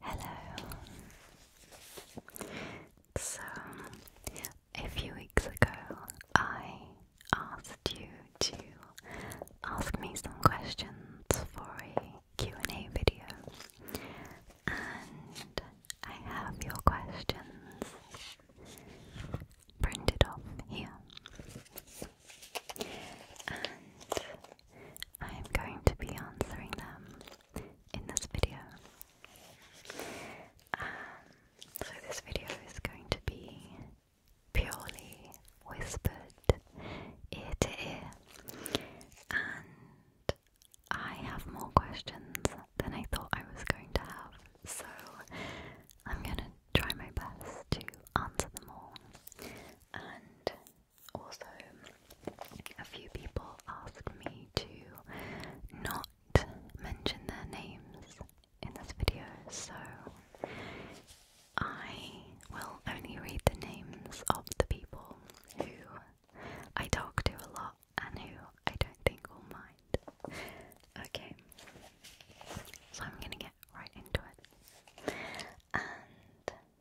Hello. So, a few weeks ago, I asked you to ask me some questions for a and a video and I have your questions printed off here and I am going to be answering them in this video. Um, so this video is going to be purely whispered ear to ear, and I have more questions than I thought I was going to have, so I'm gonna try my best to answer them all. And also, a few people asked me to not mention their names in this video, so I will only read the names of the people who I talk to a lot and who I don't think will mind. Okay, so I'm gonna get right into it. And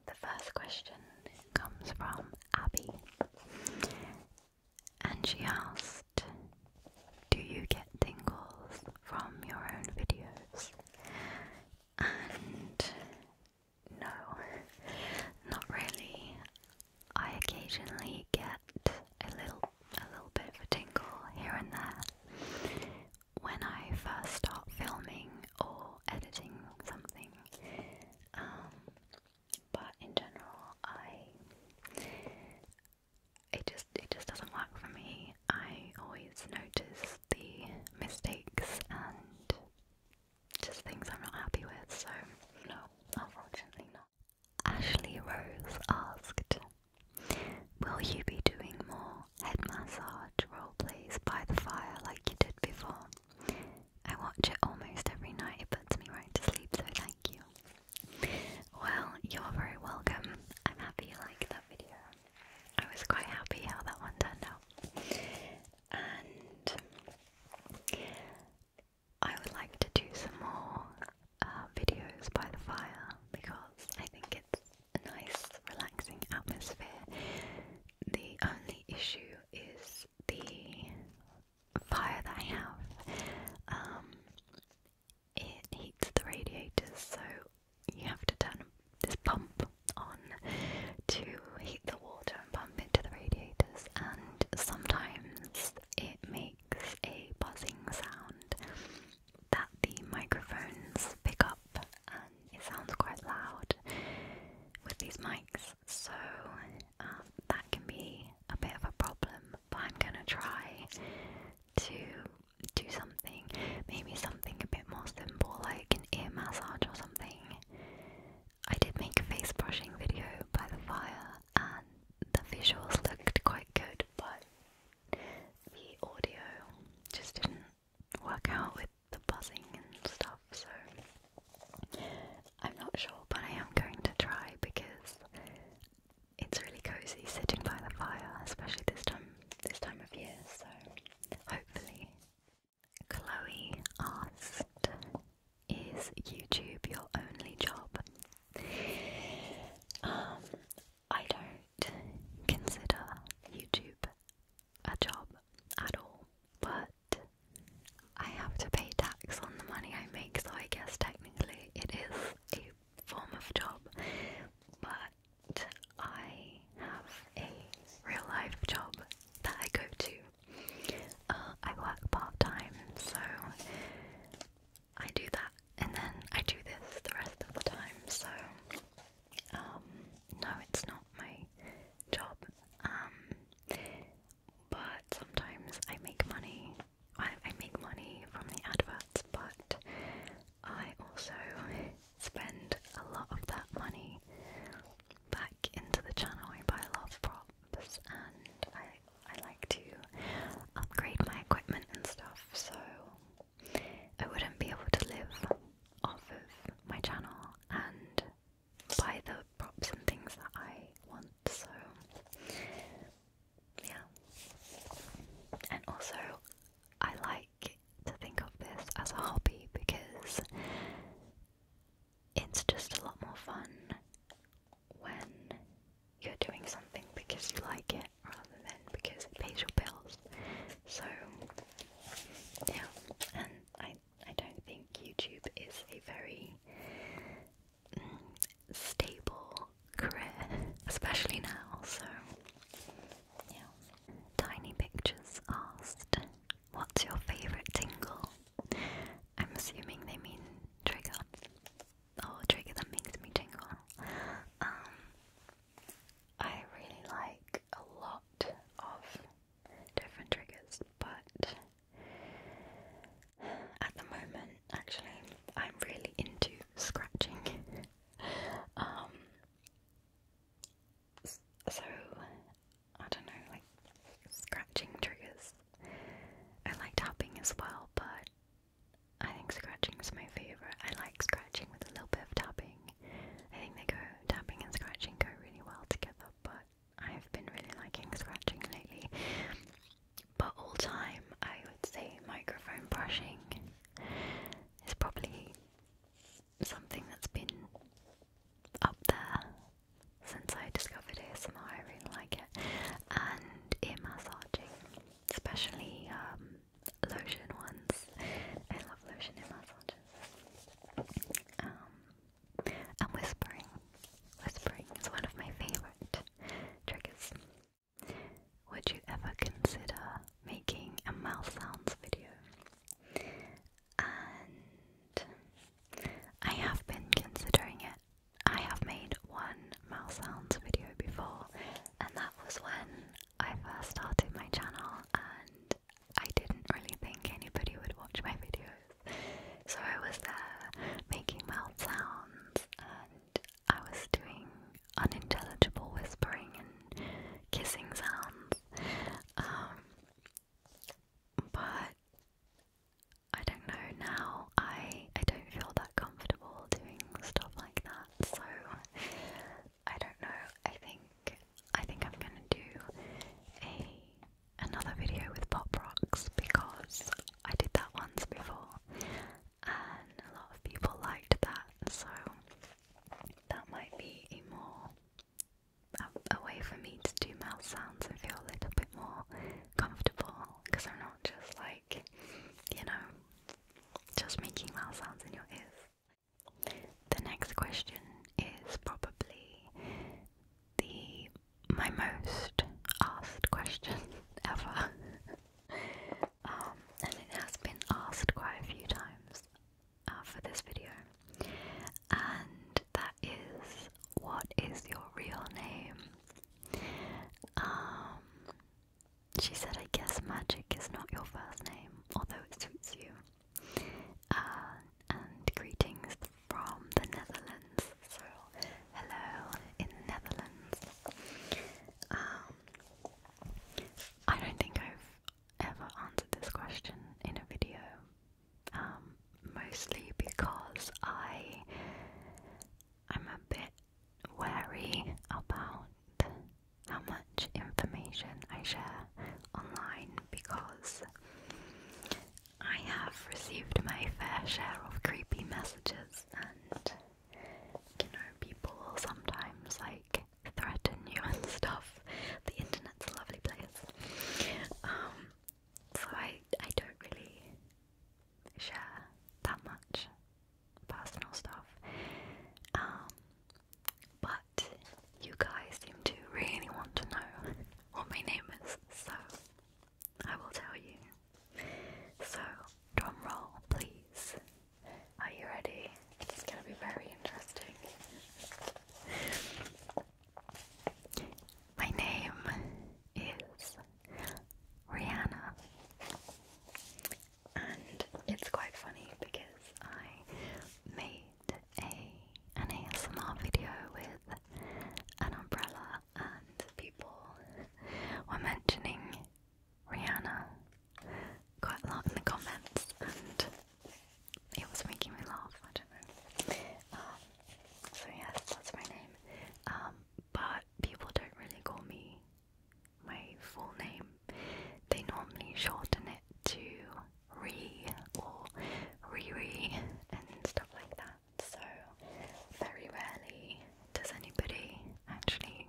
the first question comes from Abby, and she asked, do you get tingles from your own videos? And no, not really. I occasionally get a little a little bit of a tingle here and there when I first start filming or editing something. Um, but in general, I it just it just doesn't work for me. I always notice the mistakes and just things I'm not happy with, so no, unfortunately not. Ashley Rose asked, Will you be doing more head massage role plays by the fire like you did before? I watch it almost every night, it puts me right to sleep, so thank you. Well, you're very welcome. I'm happy you like that video. I was quite happy how that one turned out. And I would like to do some more uh, videos by the fire because I think it's a nice, relaxing atmosphere. The only issue is the fire that I have. Um, it heats the radiators, so you have to turn this pump on to heat the water and pump it to the radiators, and sometimes it makes a buzzing sound that the microphones pick up, and it sounds quite loud with these mics, so um, that can be a bit of a problem. But I'm gonna try to do something, maybe something a bit more simple like an ear massage or something. I did make a face brushing video by the fire and the visuals looked quite good, but the audio just didn't work out with the buzzing and stuff, so I'm not sure, but I am going to try because it's really cozy sitting by the fire, especially this time this time of year. So hopefully, Chloe asked, "Is YouTube your only job?" Um, I don't consider YouTube a job at all, but I have to pay tax on the money I make, so I guess technically it is a form of job, but I have a real life job that I go to. Uh, I work part time, so I do that and then I do this the rest of the time. So, um, no, it's not my job. Um, but sometimes I make money. I make money from the adverts, but I also spend a lot of that money back into the channel. I buy a lot of props and I I like to upgrade my equipment and stuff, so I wouldn't be able to live off of my channel and buy the props and things that I want, so yeah. And also, I like to think of this as a hobby because it's just a lot more fun when you're doing something because you like it rather than because it pays your bills. So, yeah, and I, I don't think YouTube is a very mm, stable career, especially now, so Tiny Pictures asked, What's your favourite tingle? I'm assuming they mean trigger. Oh, trigger that makes me tingle. Um, I really like a lot of different triggers, but at the moment, actually, I'm really into scratching. um, so, I don't know, like scratching triggers. I like tapping as well, but I think scratching is my favourite. I like scratching with a little bit of tapping. I think they go, tapping and scratching go really well together, but I've been really liking scratching lately. But all time, I would say microphone brushing it's probably something that's been up there since I discovered ASMR. I really like it. And ear massaging, especially um, lotion ones. I love lotion ear massages. Um, and whispering. Whispering is one of my favourite triggers. Would you ever consider making a mouth sounds video? And I have been considering it. I have made one mouth sounds video before, and that was when I first started my channel, and I didn't really think anybody would watch my videos. So I was there making mouth sounds, and I was doing unintelligible whispering and kissing sounds. Um, but I don't know now. I I don't feel that comfortable doing stuff like that. So I don't know. I think I think I'm gonna do a another video with pop rocks because I did that once before and a lot of people liked that, so that might be a more a, way for me to do mouth sounds and feel a little bit more comfortable because I'm not just like, you know, just making mouth sounds in your ears. The next question is probably the my most asked question ever. Um, and it has been asked quite a few times uh, for this video, and that is what is your real name? Um, she said, I guess magic is not your first name, although it suits you. Uh, and greetings from the Netherlands. So, hello in the Netherlands. Um, I don't think I've ever answered this question in a video, um, mostly because I am a bit wary about how much information I share online because I have received my fair share of creepy messages and you know people sometimes like threaten you and stuff. The internet's a lovely place. Um, so I I don't really share that much personal stuff. Um, but you guys seem to really want to know what my name is, so I will tell you. So drum roll, please. Are you ready? It's gonna be very interesting. My name is Rihanna, and it's quite funny because I made a an ASMR video with an umbrella, and people were mentioning Rihanna quite a lot in the comments, and it was making me laugh. I don't know. Um, so yes, that's my name. Um, but people don't really call me my full name. They normally shorten it to Re or Riri and stuff like that. So very rarely does anybody actually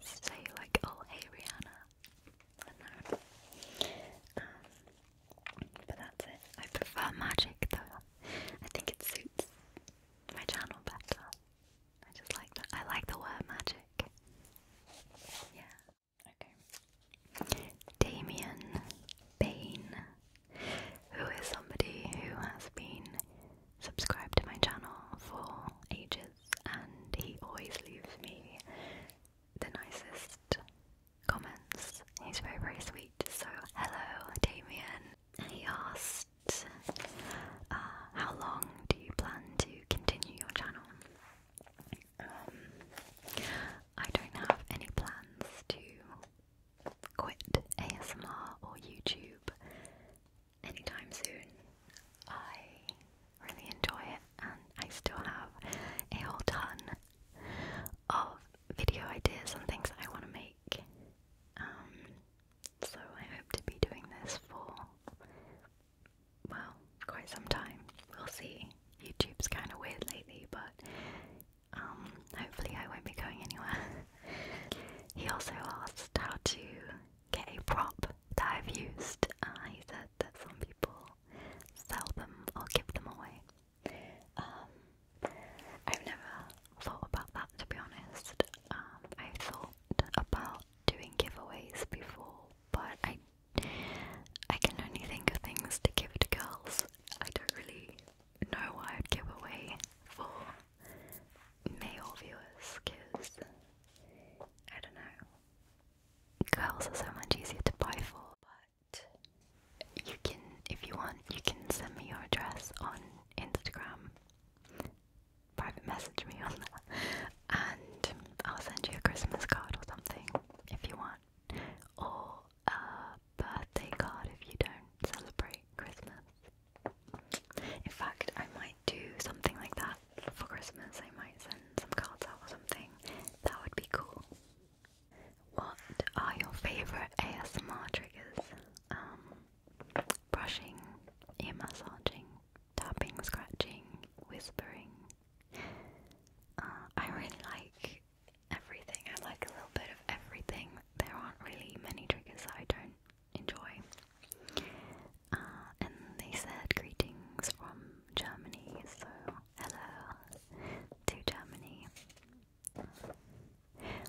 say like, oh hey Rihanna. I um, but that's it. I prefer magic though. I think it suits my channel better. I just like that. I like the word magic. Yeah. Okay. Damien Bain, who is somebody who has been subscribed to my channel for ages and he always leaves me the nicest comments. He's very, very sweet. So, hello, Damien. He asked, uh, How long do you plan to continue your channel? Um, I don't have any plans to quit ASMR or YouTube anytime soon. I really enjoy it, and I still have a whole ton of video ideas and things I want to make. Um, so I hope to be doing this for well, quite some time. We'll see. YouTube's kind of weird lately, but um, hopefully I won't be going anywhere. he also asked how to get a prop that I've used. Uh, he said that some people sell them or give them away. Um, I've never thought about that to be honest. Um, I thought about doing giveaways before, but I I can only think of things to give to girls. I don't really know what I'd give away for male viewers because I don't know. Girls are so much easier to buy for, but you can, if you want, you can send me your address on Instagram. Private message me on that, and I'll send you a Christmas card or something if you want, or a birthday card if you don't celebrate Christmas. In fact, I might do something like that for Christmas I might send some cards out or something. That would be cool. What are your favourite ASMR triggers? Um, brushing, ear massaging, tapping, scratching, whispering. Uh, I really like everything. I like a little bit of everything. There aren't really many triggers that I don't enjoy. Uh, and they said greetings from Germany, so hello to Germany.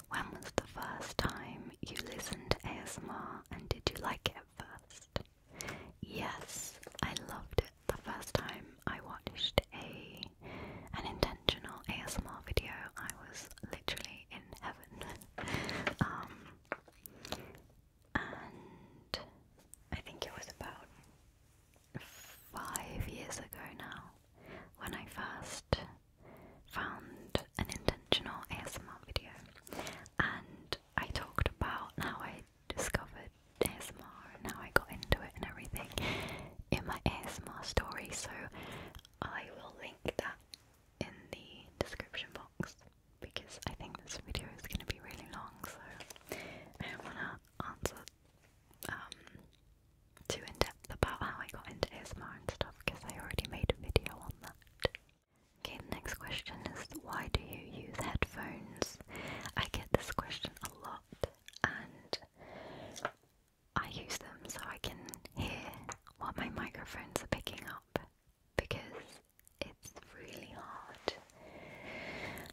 When was the first time you listened to ASMR and did you like it at first? Yes, I loved it the first time I watched a an intentional ASMR video. I was literally in heaven. Um, and I think it was about five years ago now when I first found an intentional ASMR video and I talked about how I discovered ASMR and how I got into it and everything in my ASMR story so I will link that in the description box because I think this video is going to be really long, so I don't want to answer um, too in depth about how I got into ASMR and stuff because I already made a video on that. Okay, the next question is why do you use headphones? I get this question a lot and I use them so I can hear what my microphones are picking up because it's really hard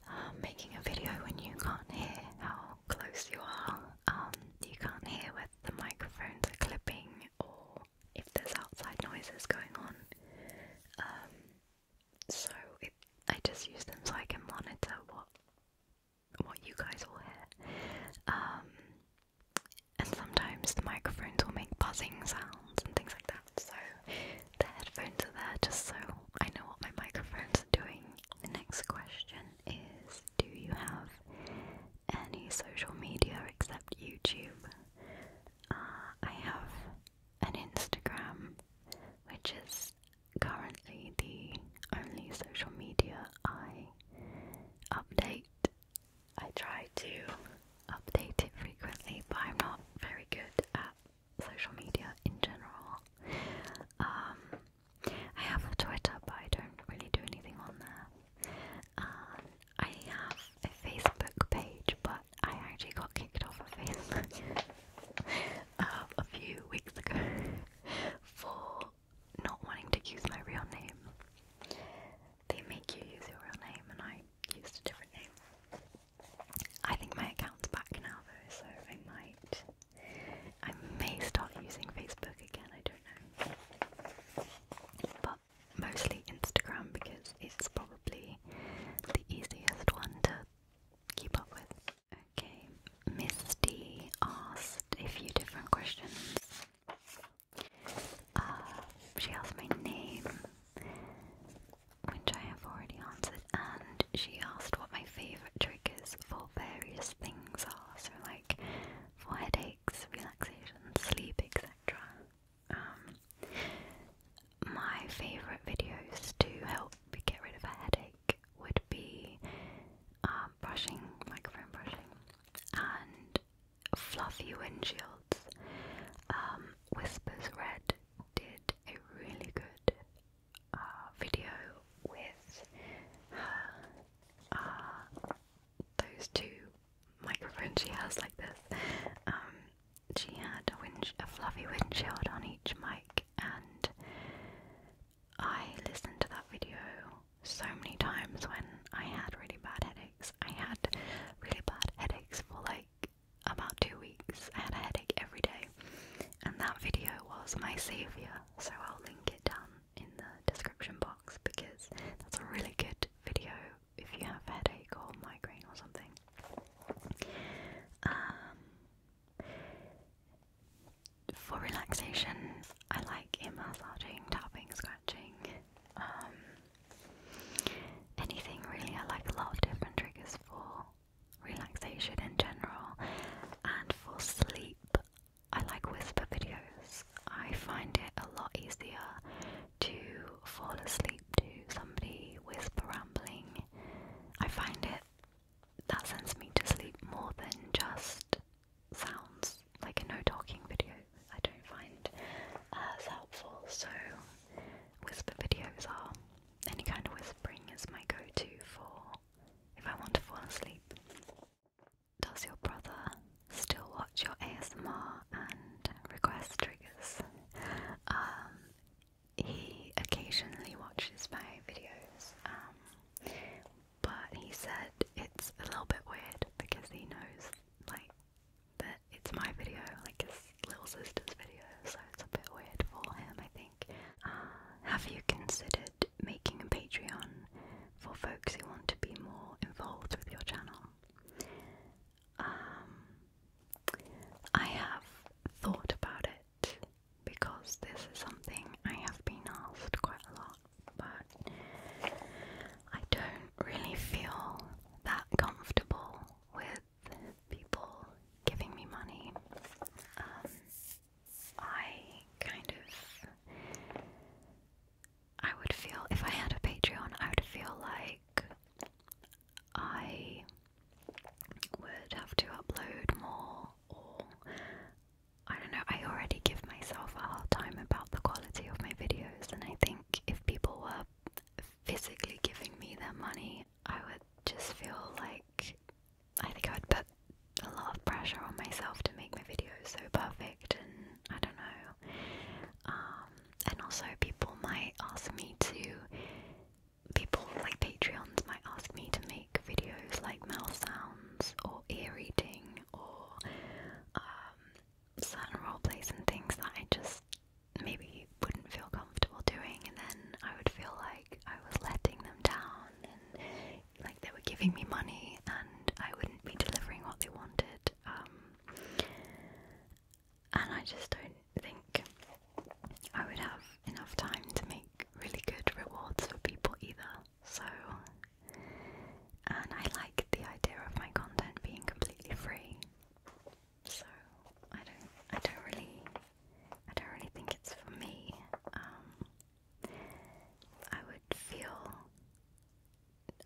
um, making a video when you can't hear how close you are. Um, you can't hear whether the microphones are clipping or if there's outside noises going on. Um, so I just use them so I can monitor what what you guys will hear. and sometimes the microphones will make buzzing sounds and things like that so the headphones are there just so I know what my microphone's are doing. The next question is Do you have any social media except YouTube? Uh, I have an Instagram, which is currently the only social media I update. I try to update it frequently, but I'm not very good at social media in general. Um, I have a Twitter, but I don't really do anything on there. Um, I have a Facebook page, but I actually got kicked off of Facebook uh, a few weeks ago for not wanting to use my real name. They make you use your real name, and I used a different name. I think my account's back now though, so I might, I may start using Facebook again. I don't know, but mostly Instagram because it's probably the easiest one to keep up with. Okay, Misty asked a few different questions. Uh, she asked my name, which I have already answered, and she asked what my favourite triggers for various things are, so like for headaches, relaxation, sleep, etc. Um, my favourite videos to help get rid of a headache would be uh, brushing, microphone brushing, and fluffy windshields, um, whispers red. Dear a really good uh, video with uh, those two microphones she has like this. Um, she had a fluffy windshield on each mic, and I listened to that video so many times when I had really bad headaches. I had really bad headaches for like about two weeks. I had a headache every day, and that video was my saviour, so I'll link it down in the description box because that's a really good video if you have a headache or migraine or something. Um, for relaxation, I like ear massaging, tapping, scratching. Um, anything really. I like a lot of different triggers for relaxation in general and for sleep. I like whisper videos. I find it a lot easier to fall asleep to somebody whispering. I find it that sends me to sleep more than just sounds, like a no talking video. I don't find uh, as helpful, so whisper videos are any kind of whispering is my go to for if I want to fall asleep. Does your brother still watch your ASMR and request triggers? Um, he occasionally watches my videos, um, but he said it's a little bit weird because he knows like the it's my video, like his little sister's video, so it's a bit weird for him, I think. Uh, have you considered making a Patreon for folks who want to be more involved with your channel? Um, I have thought about it because this is something I have been asked quite a lot, but I don't really feel that comfortable with people giving me money, um, I kind of, I would feel, if I had a Patreon, I would feel like I would have to upload more, or I don't know, I already give myself a hard time about the quality of my videos, and I think if people were physically giving me their money, I would just feel like I think I would put a lot of pressure on myself to make my videos so perfect, and I don't know. Um, and also, people might ask me to. People like Patreons might ask me to make videos like mouth sounds or ear reading or um, certain role plays and things that I just maybe you wouldn't feel comfortable doing, and then I would feel like I was letting them down and like they were giving me money and I wouldn't be delivering what they wanted. Um, and I just don't think I would have enough time to make really good rewards for people either. So, and I like the idea of my content being completely free. So I don't, I don't really, I don't really think it's for me. Um, I would feel,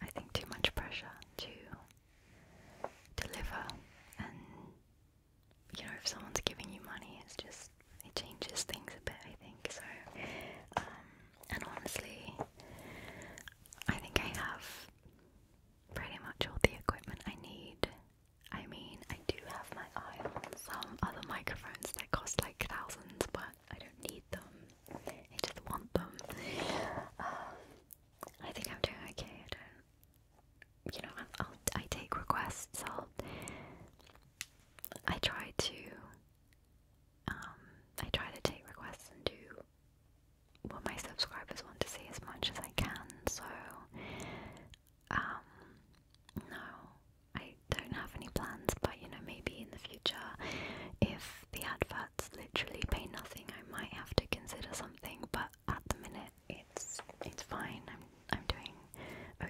I think, too much pressure to deliver, and you know, if someone's giving you money, it's just it changes things a bit. I think so. Um, and honestly, I think I have pretty much all the equipment I need I mean, I do have my eye on some other microphones that cost like thousands, but I don't need them. I just want them. Um, I think I'm doing okay. I you know, i take requests. i try to, um, I try to take requests and do what my subscribers want to see as much as I can. So um, no, I don't have any plans, but you know, maybe in the future, if the adverts literally pay nothing, I might have to consider something. But at the minute, it's it's fine. I'm I'm doing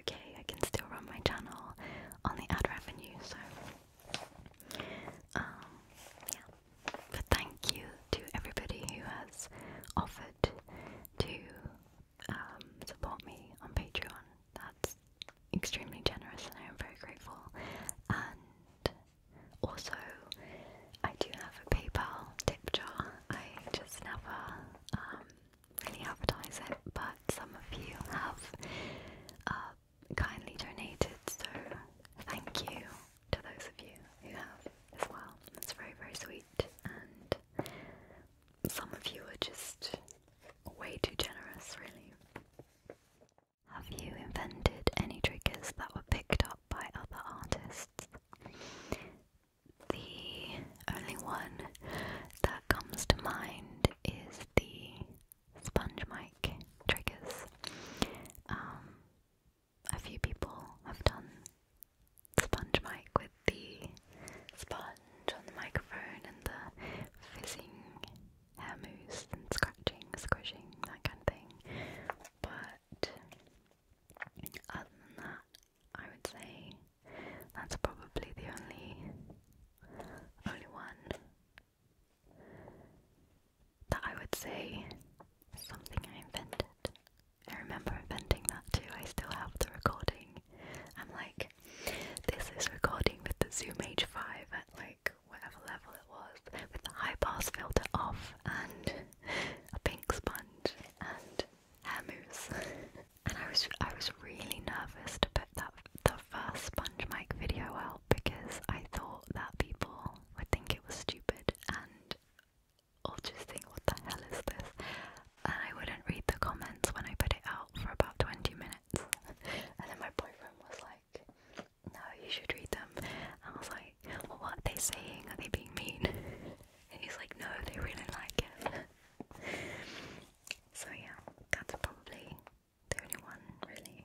okay. I can still run my channel on the ad revenue. So, um, yeah. But thank you to everybody who has offered to um, support me on Patreon. That's extremely generous and I am very grateful. And also, I do have a PayPal tip jar. I just never um, really advertise it, but some of you have uh, kindly donated, so thank you to those of you who have as well. that's very, very sweet, and some of you are just way too generous, really. Have you invented any triggers that were picked up by other artists? The only one that comes to mind is the sponge mic triggers. Um, a few people have done sponge mic with the sponge on the microphone and the fizzing hair mousse and scratching, squishing, that kind of thing. But other than that, I would say that's probably the only only one that I would say something I invented. I remember inventing that too. I still have the recording. I'm like, this is recording with the Zoom H5 at like whatever level it was, with the high pass filter off and a pink sponge and hair mousse. and I was I was really nervous to put that the first sponge mic video out because I thought that people would think it was stupid and all just think, what the hell is this? And I wouldn't read the comments when I put it out for about 20 minutes. and then my boyfriend was like, no, you should read them. I was like, what are they saying? Are they being mean? and he's like, no, they really like it. so yeah, that's probably the only one, really.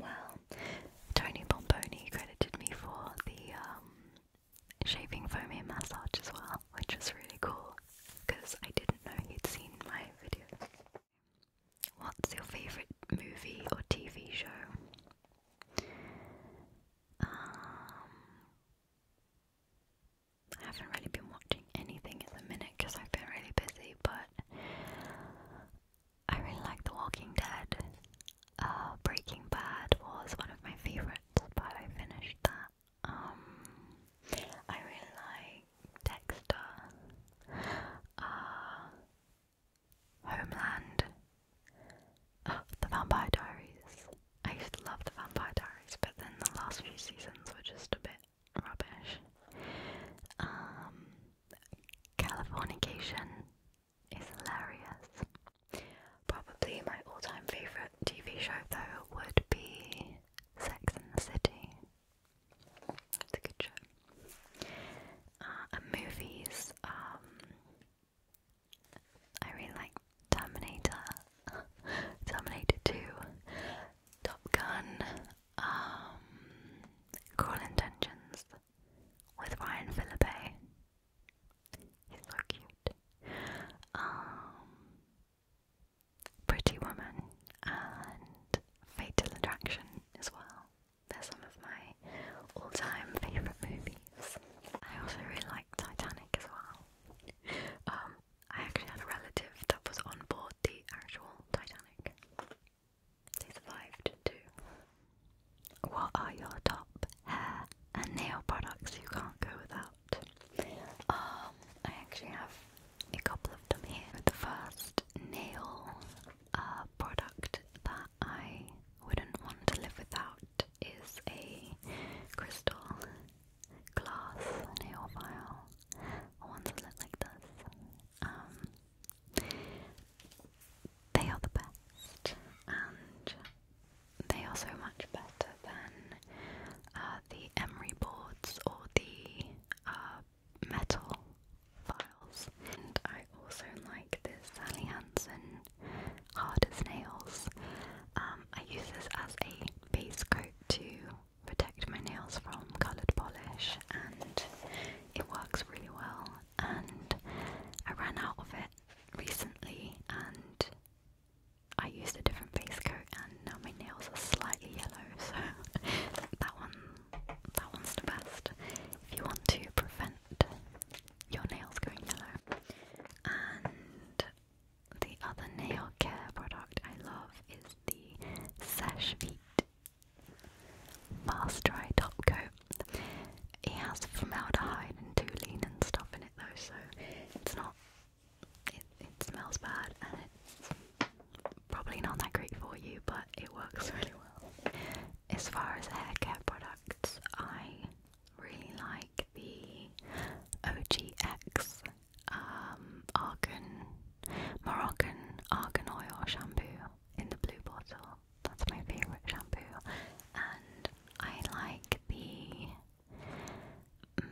Well, Tony Bomboni credited me for the um, shaving and massage as well, which was really cool because I didn't know he'd seen my video. What's your favourite movie or TV show? Um, I haven't really been watching anything in the minute because I've been really busy, but I really like The Walking Dead. Uh, Breaking Bad was one of my favorites, but I finished that. Um, I really like Dexter, uh, Homeland, oh, The Vampire Diaries. I used to love The Vampire Diaries, but then the last few seasons were just a bit rubbish. Um, Californication, it's hilarious. Probably my all time favourite TV show, though, would be Sex and the City. It's a good show. Uh, movies, um, I really like Terminator, Terminator 2, Top Gun, um, Cruel with Ryan Philippe. He's so cute. Um, Pretty Woman and Fatal Attraction as well. They're some of my all-time favourite movies. I also really like Titanic as well. Um, I actually had a relative that was on board the actual Titanic. They survived too. What are your top hair and nail products you can't go without? Um, I actually have a couple of them here. The first nail uh, product that I wouldn't want to live without is a crystal glass nail file. Ones that look like this. Um, they are the best, and they are so much better than uh, the emery boards or the uh, metal files. And I also like this Sally Hansen Hard as Nails. Um, I use this as a base coat to protect my nails from coloured polish and it works really well and I ran out of it recently and I used a different base coat and now my nails are slightly yellow so that one that one's the best if you want to prevent your nails going yellow. And the other nail care product I love is the Sash Feet Fast Dry Top Coat it has formaldehyde and toluene and stuff in it though, so it's not. It, it smells bad and it's probably not that great for you, but it works really well. As far as hair care products, I really like the OGX um, Argan Moroccan Argan oil shampoo in the blue bottle. That's my favorite shampoo, and I like the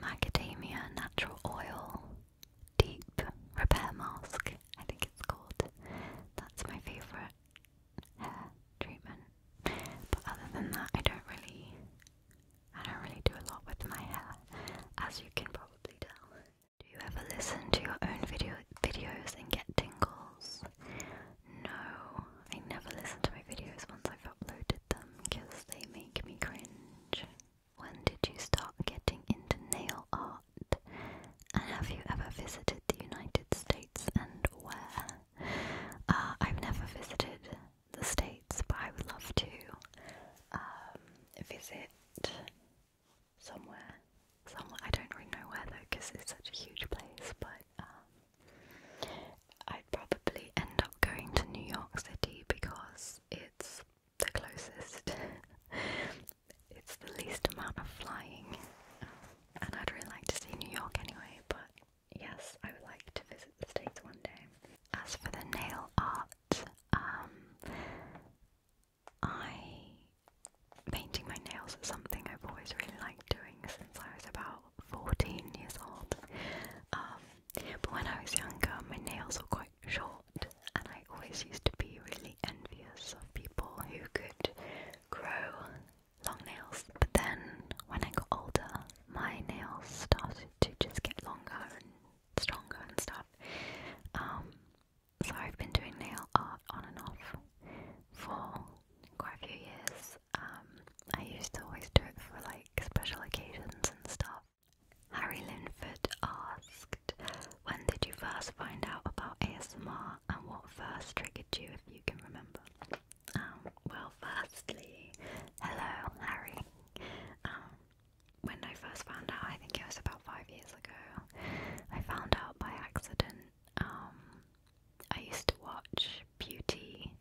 macadamia natural oil deep repair mask. I think it's called. That's my favorite hair treatment. But other than that, I don't really, I don't really do a lot with my hair, as you can probably tell. Do you ever listen to your own video videos and get tingles? No, I never listen to my videos once I've uploaded them because they make me cringe. When did you start getting into nail art? And have you ever visited the United States and where? Uh, I've never visited the States, but I would love to um, visit somewhere. Somewhere I don't really know where though, because it's such a huge place. But um, I'd probably end up going to New York City because it's the closest, it's the least amount of flying, and I'd really like to see New York anyway. But yes, I would like to visit the States one day. As for the nail art, um, I painting my nails is something I've always really liked doing since I was about 14 years old. Um, but when I was younger, my nails were quite short, and I always used to be really envious of people who could grow long nails. But then when I got older, my nails started to just get longer and stronger and stuff. Um, so I've been doing nail art on and off for quite a few years um, I used to always do it for like special occasions and stuff. Harry Linford asked, When did you first find out about ASMR and what first triggered you, if you can remember? Um, well, firstly, hello, Harry. Um, when I first found out, I think it was about five years ago, I found out by accident. I used to watch beauty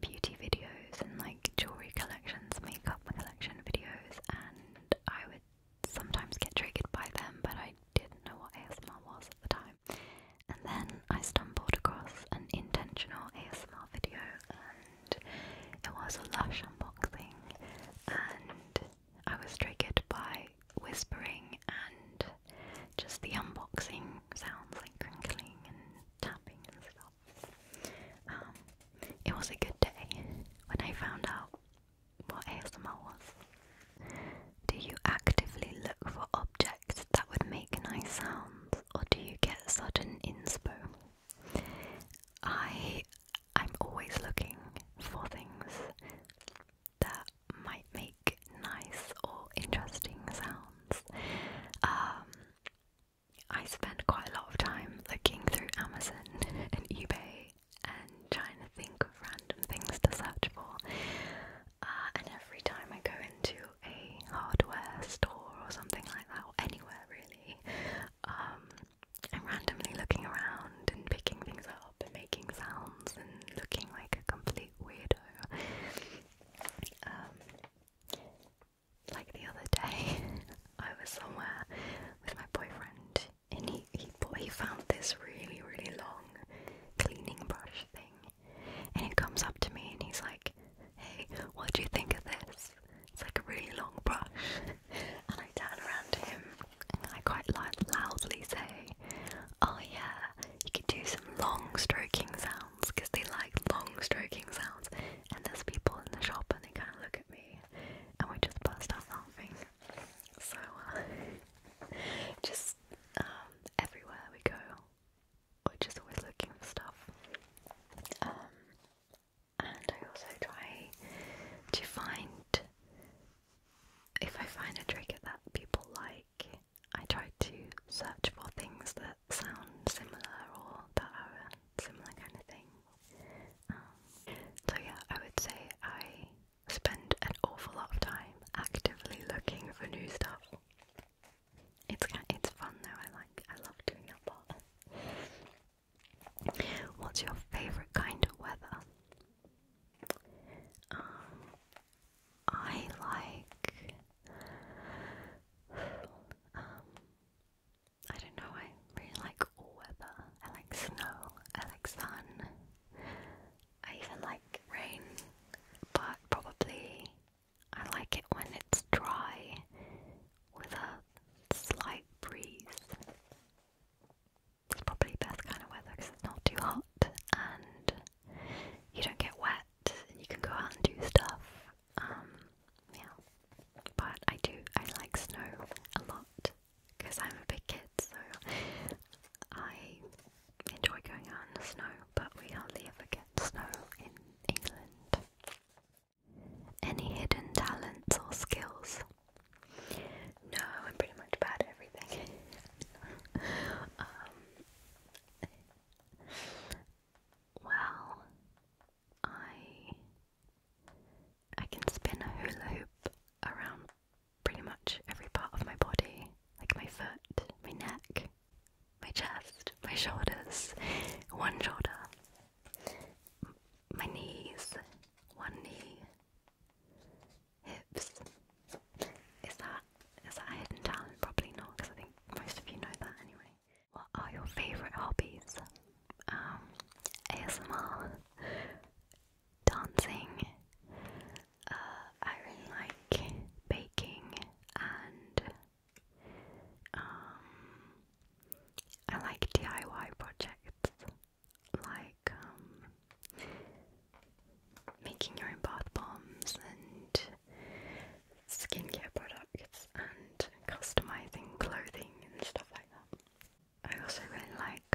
beauty videos and like jewelry collections, makeup collection videos, and I would sometimes get triggered by them, but I didn't know what ASMR was at the time. And then I stumbled across an intentional ASMR video, and it was a Lush unboxing, and I was triggered by whispering and just the unboxing sounds like crinkling and tapping and stuff. Um, it was a good day when I found out what ASMR was. Do you actively look for objects that would make nice sounds, or do you get sudden inspo? I I'm always looking for things that might make nice or interesting sounds. Um, I spend quite a lot of time looking through Amazon and eBay and trying to think of random things to search for. Uh, and every time I go into a hardware store or something like that, or anywhere really, um, I'm randomly looking around and picking things up and making sounds and looking like a complete weirdo. Um, like the other day, I was somewhere with my boyfriend, and he, he he found this really really long cleaning brush thing, and he comes up to me and he's like, "Hey, what do you think of this? It's like a really long brush." and I turn around to him and I quite loudly say, Oh yeah, you could do some long stroking sounds because they like long stroking sounds. And there's people in the shop and they kind of look at me and we just burst out laughing. So uh, just um, everywhere we go, we're just always looking for stuff. Um, and I also try to find if I find a trigger that people like I try to search for things that sound similar or that are similar kind of thing. Um, so yeah, I would say I spend an awful lot of time actively looking for new stuff. It's it's fun though. I like I love doing that part. What's your favorite kind of weather? Um, I like um, I don't know, I really like all weather. I like snow, I like sun, I even like rain, but probably I like it when it's dry with a slight breeze. It's probably best kind of weather because it's not too hot and you don't get wet and you can go out and do stuff. Um, yeah. But I do, I like snow a lot because I'm a big kid, so I enjoy going out in the snow, but we hardly ever get snow in England. Any hidden talents or skills? No, I'm pretty much bad at everything. Um, well, I I can spin a hula hoop around pretty much every part of my body, like my foot, my neck, my chest, my shoulders, one shoulder, my knees, one knee, hips, is that is that a hidden talent? Probably not, because I think most of you know that anyway. What are your favourite hobbies? Um, ASMR, dancing. Uh, I really like baking and um, I like DIY projects like um, making your own bath bombs and skincare products and customizing clothing and stuff like that. I also really like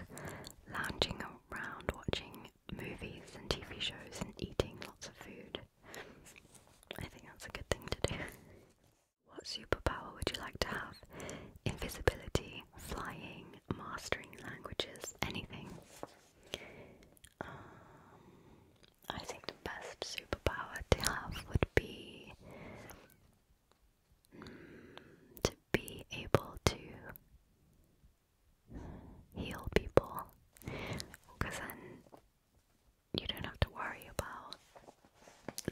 lounging around watching movies and TV shows and eating lots of food. I think that's a good thing to do. What superpower would you like to have? Invisibility, flying, mastering languages, anything. Um, I think the best superpower to have would be mm, to be able to heal people because then you don't have to worry about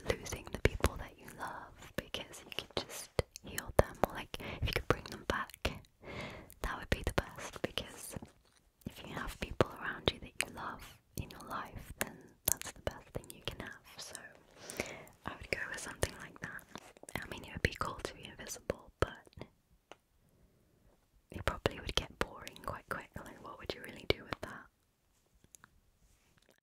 losing the people that you love because you could just heal them or like if you could bring them back that would be the best because if you have people around you that you love in your life, then that's the best thing you can have. So I would go with something like that. I mean, it would be cool to be invisible, but it probably would get boring quite quickly. What would you really do with that?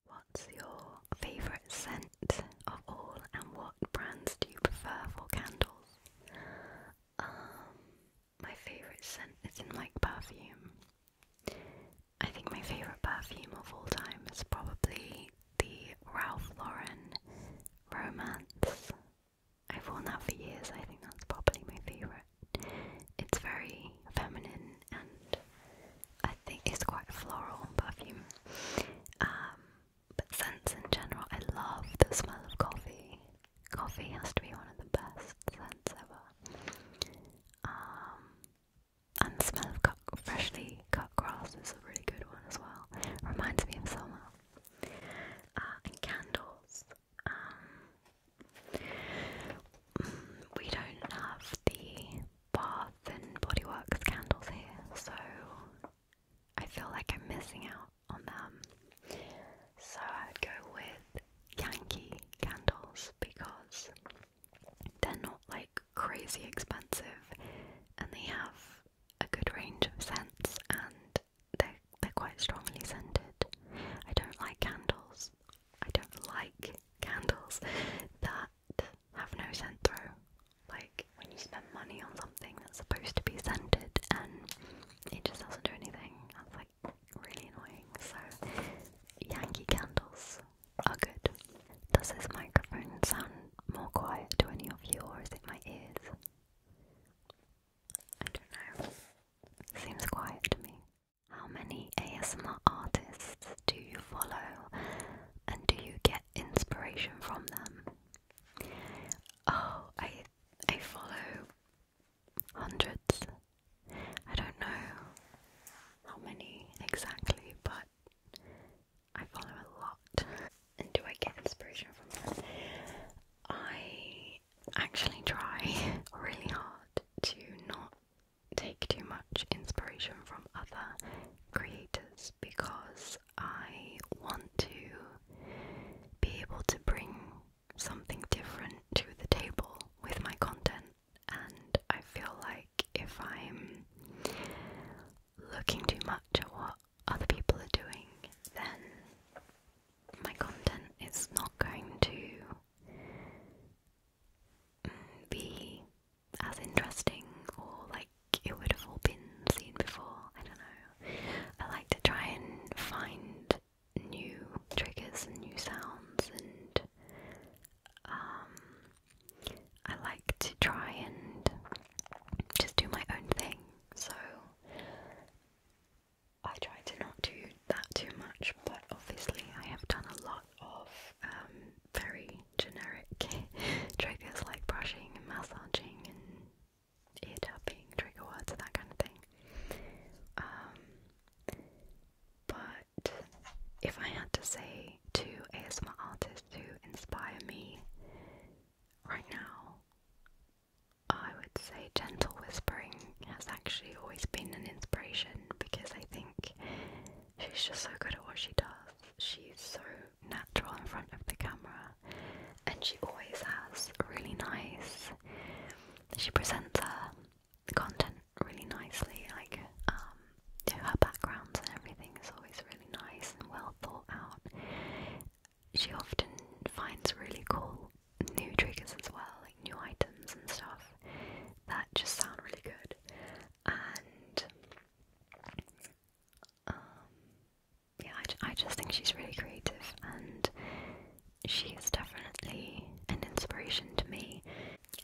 What's your favourite scent of all, and what brands do you prefer for candles? Um, my favourite scent is not like perfume. I think my favourite perfume of all time is probably the Ralph Lauren Romance. I've worn that for years, I think that's probably my favourite. It's very feminine and I think it's quite floral perfume. Um, but scents in general, I love the smell of coffee. Coffee has to be one of the best scents ever. Um, and the smell of freshly cut grass is a really good one as well. Reminds me of summer. Uh, and candles. Um, we don't have the Bath and Body Works candles here, so I feel like I'm missing out on them. So I would go with Yankee candles because they're not like crazy expensive and they have a good range of scents and they're, they're quite strongly scented. I don't like candles. I don't like candles that have no scent through. Like when you spend money on something that's supposed to be scented and it just doesn't do anything. That's like really annoying. So Yankee candles are good. Does this microphone sound more quiet to any of you or is it my ears? I don't know. Seems quiet to me. How many ASMR artists do you follow and do you get inspiration from them? Oh, I I follow hundreds. I don't know how many exactly, but I follow a lot. And do I get inspiration from them? I actually try really hard to not take too much inspiration from other creators because I want to be able to bring something different to the table with my content, and I feel like if I'm looking too much at what other people are doing, then my content is not going to mm, be as interesting or like it would have all been seen before. I don't know. I like to try and find new triggers and new sounds and um, I like to try and just do my own thing so I try to not do that too much but obviously I have done a lot of um, very generic triggers like brushing and massaging and ear tapping, trigger words, and that kind of thing. Um, but if I had to say two ASMR artists who inspire me right now, I would say gentle whispering has actually always been an inspiration because I think she's just so good at what she does. She's so natural in front of the camera and she always has really nice she presents her content really nicely, like um, her backgrounds and everything is always really nice and well thought out. She often finds really cool new triggers as well, like new items and stuff that just sound really good. And um, yeah, I, I just think she's really creative and she is definitely an inspiration to me.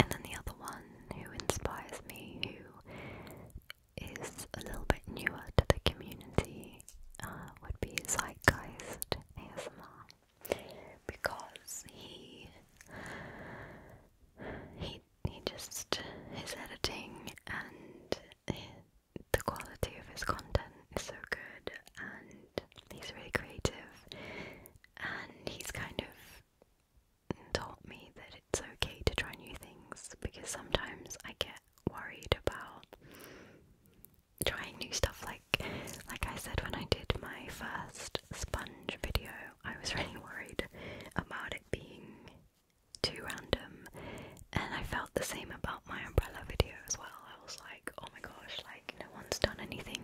And then the other one who inspires me, who is a little bit newer to the community, uh, would be Zeitgeist ASMR, because he he he just his editing and the quality of his content is so good and he's really creative and he's kind of taught me that it's okay to try new things because sometimes I get worried about trying new stuff like like I said when I did my first sponge video I was really worried about it being too random and I felt the same about my umbrella video as well I was like oh my gosh, like no one's done anything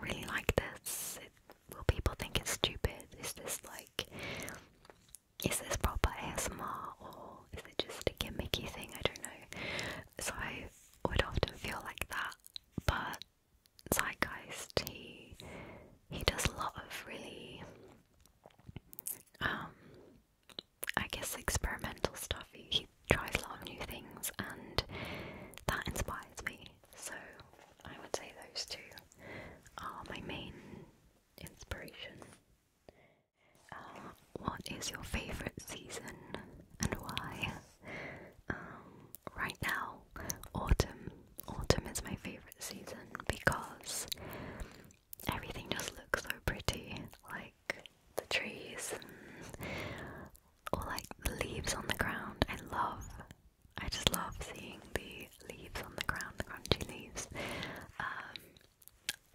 really like this. It, will people think it's stupid? Is this like, is this proper ASMR or is it just a gimmicky thing? I don't know. So I would often feel like that, but Zeitgeist, he he does a lot of really um, I guess, experimental stuff. He, tries a lot of new things, and that inspires me. So I would say those two are my main inspiration. Uh, what is your favourite season and why? Um, right now, autumn. Autumn is my favourite season because everything just looks so pretty. Like the trees or like the leaves on the ground. I love I just love seeing the leaves on the ground, the crunchy leaves. Um,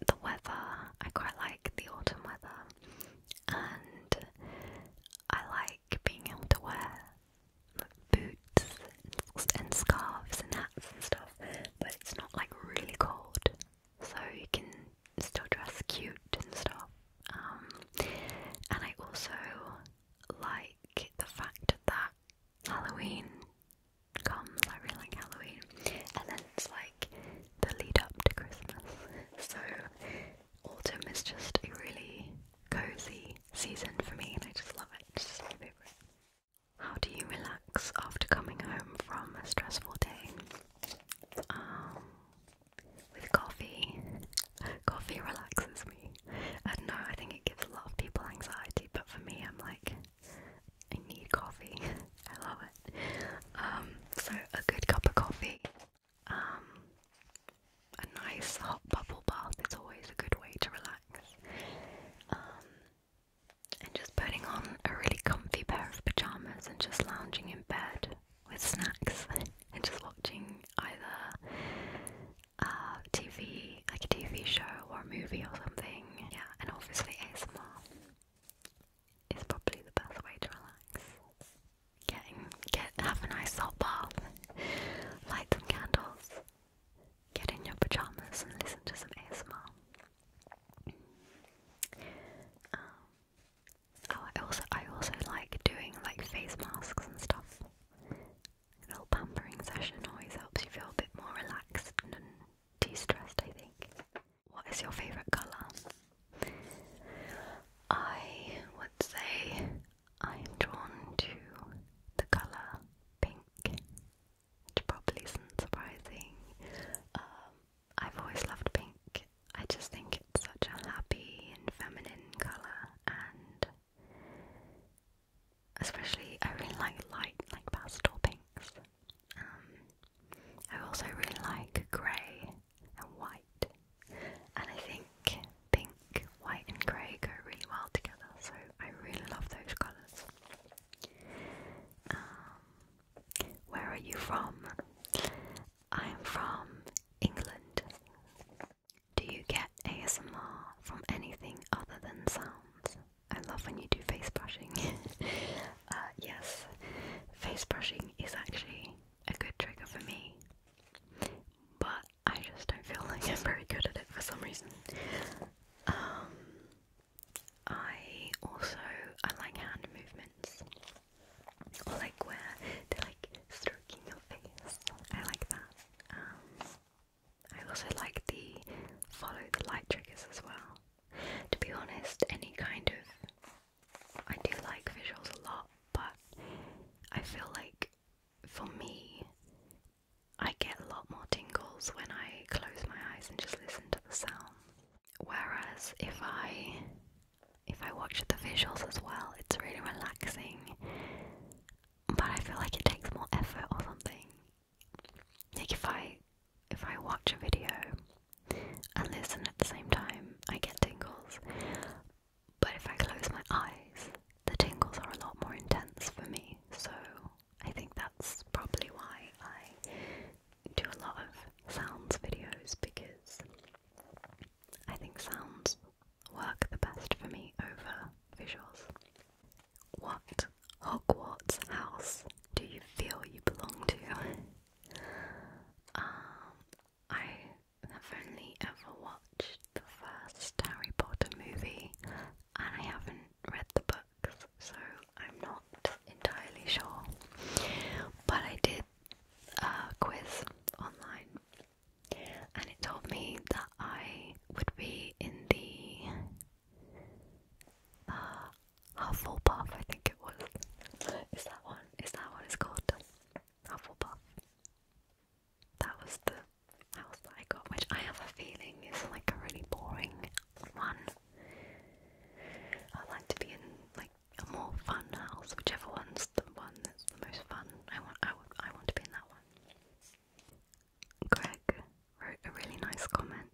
the weather, I quite like the autumn weather and I like being able to wear boots and scarves and hats and stuff, but it's not like really cold so you can still dress cute and stuff. Um, and I also like the fact that Halloween comes. I really like Halloween, and then it's like the lead up to Christmas. So autumn is just a really cozy season for me, and I just love it. How do you relax after coming home from a stressful day? Um, with coffee. coffee relaxes me. I don't know, I think it gives a lot of people anxiety, but for me, I'm like, I need coffee. I love it. Um, so, a good cup of coffee, um, a nice hot bubble bath It's always a good way to relax. and just putting on a really comfy pair of pajamas and just lounging in bed with snacks and just watching either uh, TV, like a TV show or a movie or something. Yeah, and obviously ASMR is probably the best way to relax. Getting, get, have a nice hot bath, light some candles, get in your pajamas and listen to some ASMR. Um, Oh, I also I also like doing like face masks and stuff. A little pampering session always helps you feel a bit more relaxed and de-stressed. I think. What is your favorite color? I would say I am drawn to the color pink, which probably isn't surprising. Um, I've always loved pink. I just think it's such a happy and feminine colour and especially I really like light like pastel pinks. Um, I also really like grey and white and I think pink, white and grey go really well together so I really love those colours. Um, where are you from? I'm from England. Do you get ASMR from anything other than sounds? I love when you do face brushing. Uh, yes, face brushing is actually a good trigger for me, but I just don't feel like I'm very good at it for some reason. Um, I also I like hand movements or like where they like stroking your face. I like that. Um, I also like the follow the light triggers as well. To be honest, any kind of I do like visuals a lot, but I feel like for me, I get a lot more tingles when I close my eyes and just listen to the sound. Whereas if I if I watch the visuals as well, it's really relaxing. But I feel like it takes more effort or something. Like if I if I watch a video and listen at the same time, I get tingles. But if I close my eyes, the tingles are a lot more intense for me. So I think that's probably why I do a lot of sounds videos because I think sounds work the best for me over visuals. What Hogwarts house do you feel you belong to? um, I have only ever watched the first Harry Potter movie and I haven't read the books, so I'm not entirely sure. But I did uh, quiz online, and it told me that I would be in the uh, Hufflepuff. I think it was. Is that one? Is that what it's called? Hufflepuff. That was the house I got, which I have a feeling is like a really boring one. i like to be in like a more fun house, whichever one's the one that's the most fun. I want, I want, I want to be in that one. Greg wrote a really nice comment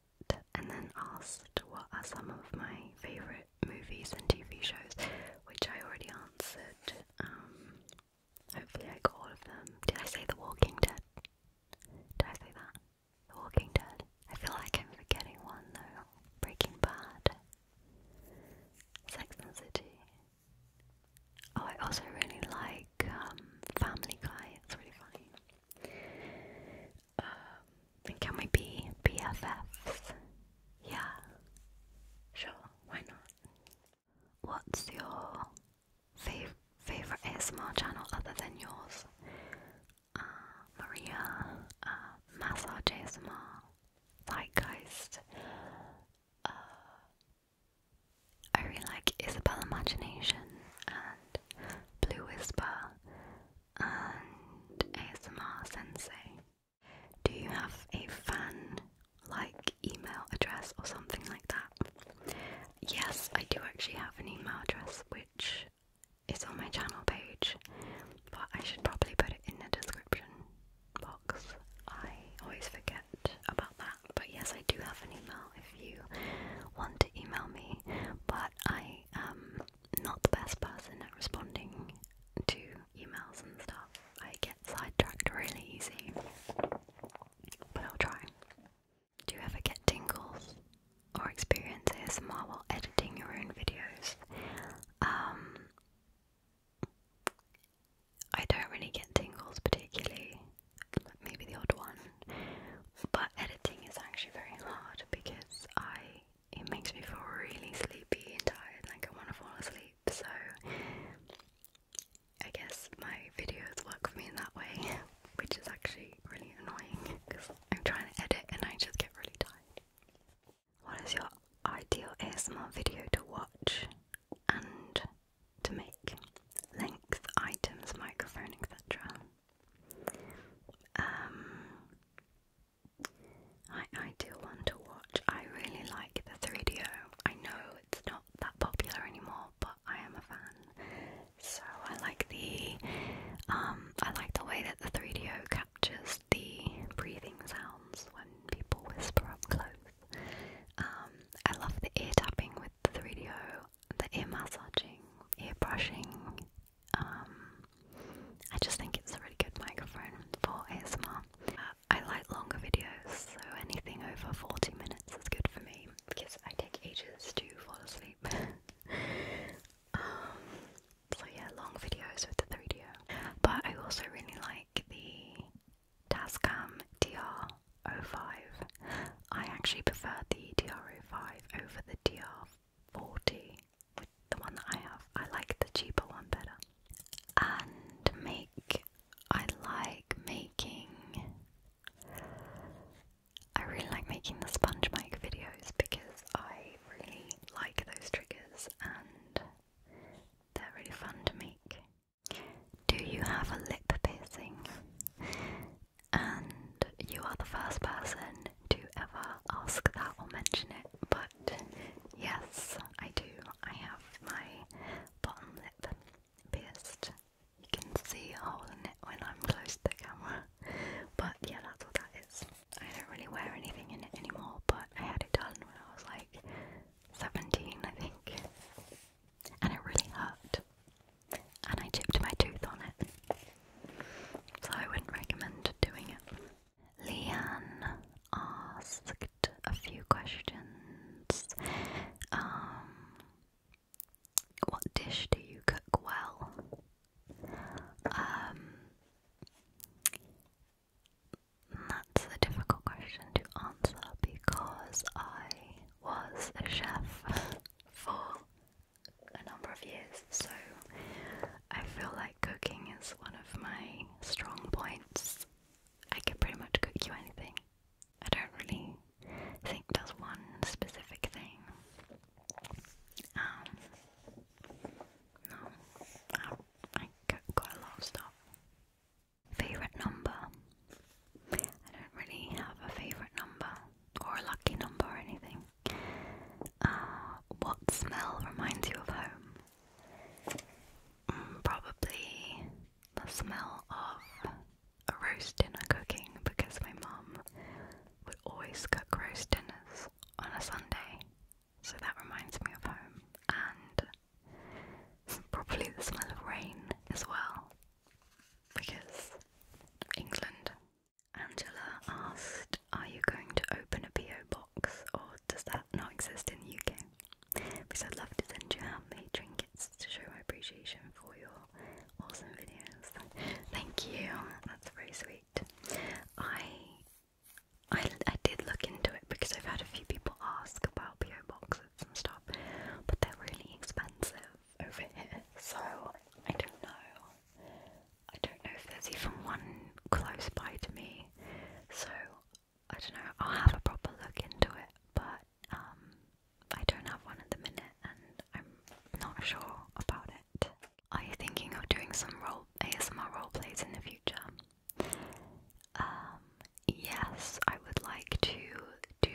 and then asked what are some of my favourite movies and TV shows, which I already answered. Um, hopefully, I got all of them. Did I say The Walking Dead? Did I say that? The Walking Dead. I feel like I'm forgetting one though. Breaking Bad. Sex and City. Oh, I also really like um, Family Guy. It's really funny. Um, can we be BFFs? Yeah. Sure. Why not? What's your favorite ASMR channel other than yours? Uh, Maria, uh, ASMR, Zeitgeist. Uh, I really like Isabel Imagination and Blue Whisper and ASMR Sensei. Do you have a fan like email address or something like that? Yes, I do actually have an email address which it's on my channel page, but I should probably put it in the description box. I always forget about that, but yes, I do have an email if you want to email me, but I am not the best person at responding to emails and stuff. I get sidetracked really easy, but I'll try. Do you ever get tingles or experience ASMR while editing your own videos? Um, I don't really get tingles particularly, maybe the odd one, but editing is actually very hard because I it makes me feel really sleepy and tired, like I want to fall asleep. So I guess my videos work for me in that way, which is actually really annoying because I'm trying to edit and I just get really tired. What is your ideal ASMR video to watch and to make? Length, items, microphone, etc. Um, my ideal one to watch. I really like the 3DO. know it's not that popular anymore, but I am a fan. So I like the um, I like the way that the 3DO captures the breathing sounds when people whisper up close. Um, I love the ear tapping with the radio, the ear massaging, ear brushing. Um, I just think it's a really good microphone for ASMR. I like longer videos, so anything over 40 minutes is good for me because I take ages to fall asleep. Um, so yeah, long videos with the 3 d But I also really like the Tascam DR05. I actually prefer the DR05 over the DR40, the one that I have. I like the cheaper one better. And make, I like making, I really like making the sponge mic videos because I really like those triggers and they're really fun to make. Do you have a lip piercing? And you are the first person to ever ask that or mention it, but yes, I do. I have my bottom lip pierced. You can see a hole in it when I'm close to the camera, but yeah, that's what that is. I don't really wear anything in it anymore, but I had it done when I was like 17, I think. And it really hurt. And I chipped my tooth on it. So I wouldn't recommend doing it. Leon asked a few questions. Um, what dish do you cook well? Um, that's a difficult question to answer because I was a chef for a number of years, so I feel like cooking is one of my strong points. I can pretty much cook you anything. I don't really think there's one specific thing. Um, no, I got quite a lot of stuff. Favourite number? I don't really have a favourite number or a lucky number or anything. Uh, what smell reminds you of home? Mm, probably the smell of a roast dinner cooking because my mum would always cook roast dinners on a Sunday so that reminds me of home, and probably the smell of rain as well, because England. Angela asked, Are you going to open a PO box, or does that not exist in the UK? Because I'd love to send you handmade trinkets to show my appreciation for your awesome videos. Thank you, that's very sweet. I I, I did look into it because I've had a few people ask about PO boxes and stuff, but they're really expensive over here, so I don't know. I don't know if there's even one close by to me, so I don't know. I'll have a proper look into it, but um, I don't have one at the minute, and I'm not sure about it. I'm thinking of doing some role ASMR role plays in the future? Um, yes, I would like to do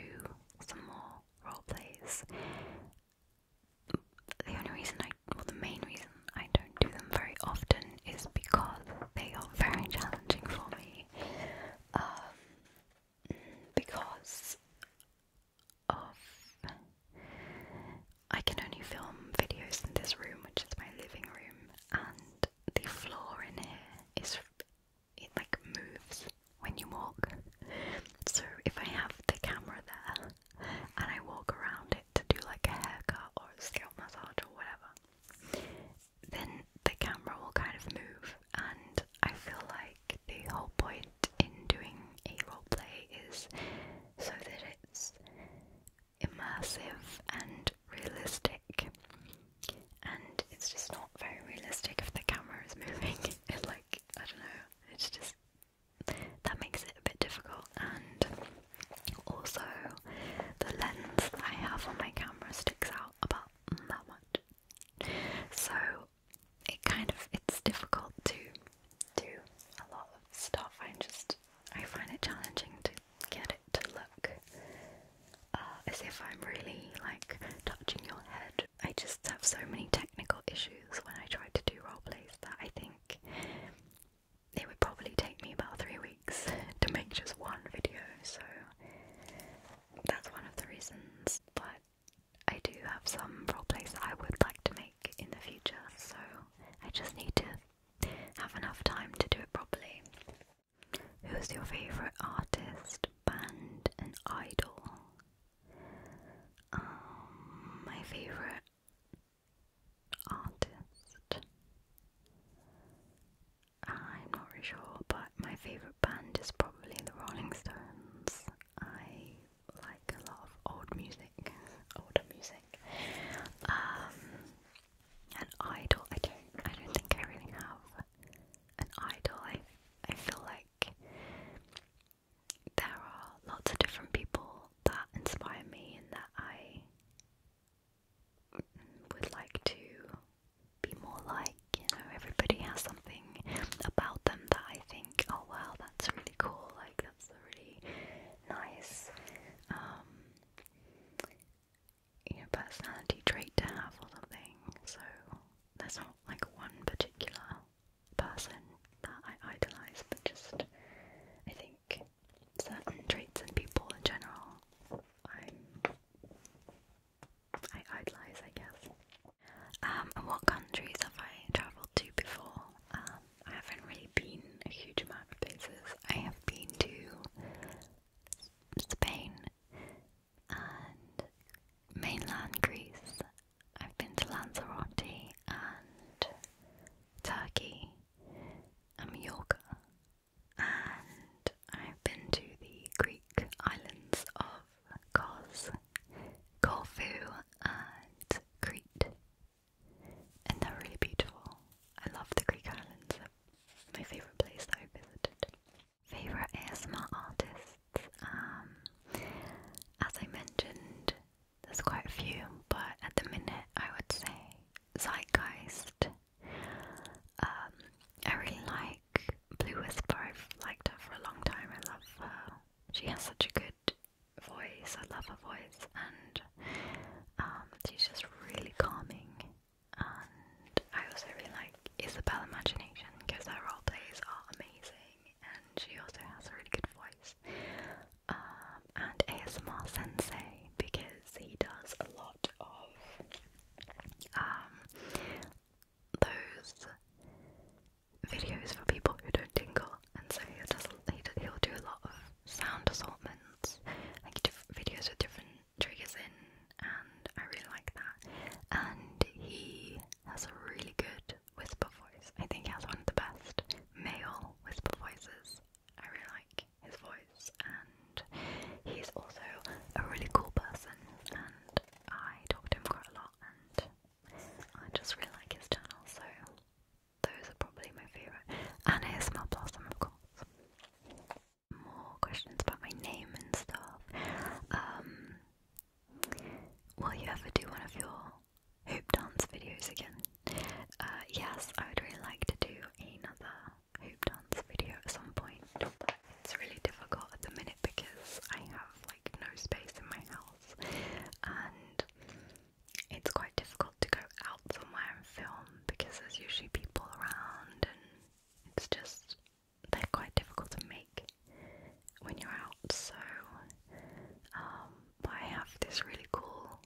some more role plays. The only reason I, the main reason I don't do them very often is because they are very challenging for me. Um, because of I can only film videos in this room, which is my living room, and the floor in here is it like moves when you walk. So if I have the camera there and I walk around it to do like a haircut or a scalp massage or whatever, then the camera will kind of move, and I feel like the whole point in doing a role play is so that it's immersive and realistic. And it's just not very realistic if the camera is moving. It like I don't know. It's just that makes it a bit difficult. And also, the lens I have on my camera sticks out about that much. So it kind of it's difficult to do a lot of stuff. I just I find it challenging to get it to look uh, as if I'm really like touching your head. I just have so many technical issues when I try to do role plays that I think it would probably take me about three weeks to make just one video, so that's one of the reasons. But I do have some role plays I would like to make in the future, so I just need to have enough time to do it properly. Who's your favourite artist, band, and idol? Um, my favourite artist. I'm not really sure, but my favourite band is probably the Rolling Stones. I like a lot of old music, older music. Um, an idol. I don't. I don't think I really have an idol. I. I feel like there are lots of different people that inspire me and that I would like to be more like. You know, everybody has something about them that I think, oh wow, that's really cool. Like that's really nice. Um, you know, personality trait to have or something. So there's not like one particular person that I idolize, but just I think certain traits in people in general I'm I idolize, I guess. Um, and what countries have I travelled to before? Um, I haven't really been a huge amount of places. I have been to Spain and mainland Greece. I've been to Lanzarote and Turkey and Mallorca. And I've been to the Greek islands of Kos, Corfu, and Crete and they're really beautiful. I love the Greek islands, my favourite place that I visited. Favourite ASMR artists? Um, as I mentioned, there's quite a few, but at the minute I would say Zeitgeist. Um, I really like Blue Whisper, I've liked her for a long time, I love her. She has such a good voice, I love her voice, and good. Um, she's just really calming, and I also really like Isabel Imagination because her role plays are amazing, and she also has a really good voice. Um, and ASMR Sensei because he does a lot of um, those videos for people who don't tingle, and so he does. He, he'll do a lot of sound assortment different like different videos with different triggers in and I really like that. And he has a really good whisper voice. I think he has one of the best male whisper voices. I really like his voice and he's also a really cool person and I talk to him quite a lot and I just really like his channel so those are probably my favourite. And ASMR Blossom, of course. More questions about my name and stuff. Um, will you ever do one of your hoop dance videos again? Uh, yes, I would really like to do another hoop dance video at some point. it's really difficult at the minute because I have like no space in my house and it's quite difficult to go out somewhere and film because there's usually people around and it's just they're quite difficult to make when you're out so um, I have this really cool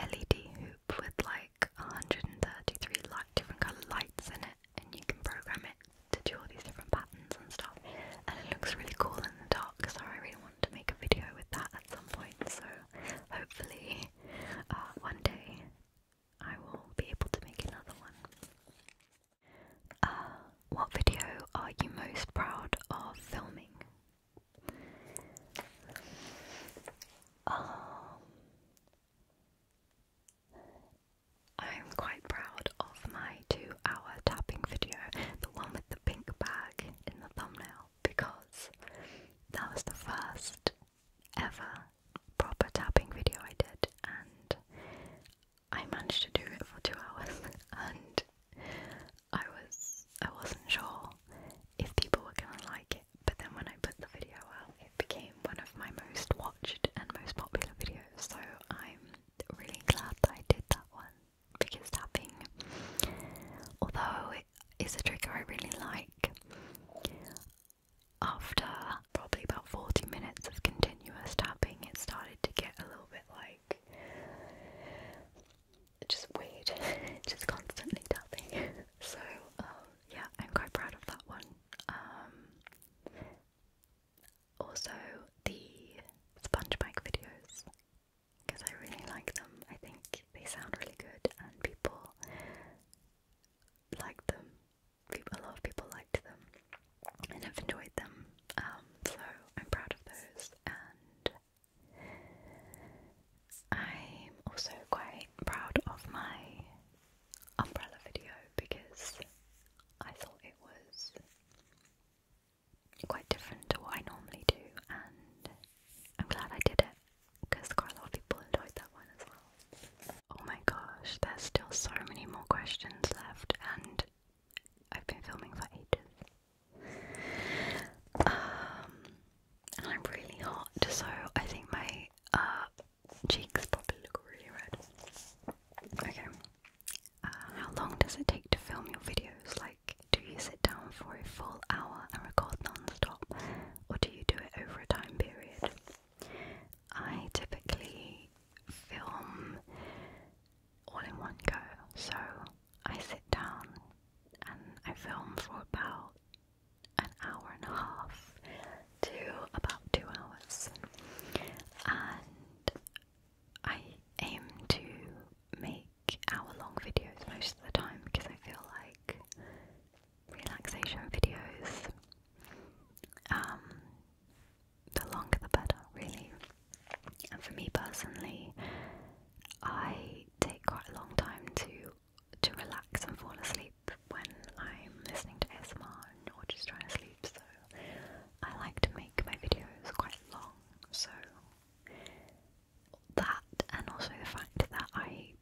LED hoop with like 133 light different colour lights in it and you can program it to do all these different patterns and stuff and it looks really cool in the dark so I really want to make a video with that at some point so hopefully uh, one day I will be able to make another one. Uh, what video are you most proud of filming? Um, I'm quite proud of my two hour tapping video, the one with the pink bag in the thumbnail, because that was the first ever proper tapping video I did, and I managed to do it for two hours, and I was I wasn't sure if people were gonna like it, but then when I put the video out, it became one of my most watched and most popular videos. So I'm really glad that I did that one because tapping, although is a trigger I really like. After probably about 40 minutes of continuous tapping, it started to get a little bit like just weird, just constantly tapping. so, um, yeah, I'm quite proud of that one. Um, also, the sponge bike videos because I really like them. I think they sound really good, and people liked them. a lot of people liked them, and I've enjoyed them. Um, so I'm proud of those, and I'm also quite proud of my umbrella video because I thought it was quite different to what I normally do, and I'm glad I did it because quite a lot of people enjoyed that one as well. Oh my gosh, there's still so many more questions left, and I've been filming for ages. Um, I'm really hot, so I think my uh, cheeks probably look really red. Okay. Uh, how long does it take to film your videos? Like, do you sit down for a full hour and record non or do you do it over a time period? I typically film all in one go, so I sit down and I film for about an hour and a half to about two hours, and I aim to make hour long videos most of the time because I feel like relaxation videos. Um, the longer the better, really. And for me personally, I take quite a long time to to relax and fall asleep when I'm listening to ASMR or just trying to sleep. So I like to make my videos quite long. So that and also the fact that I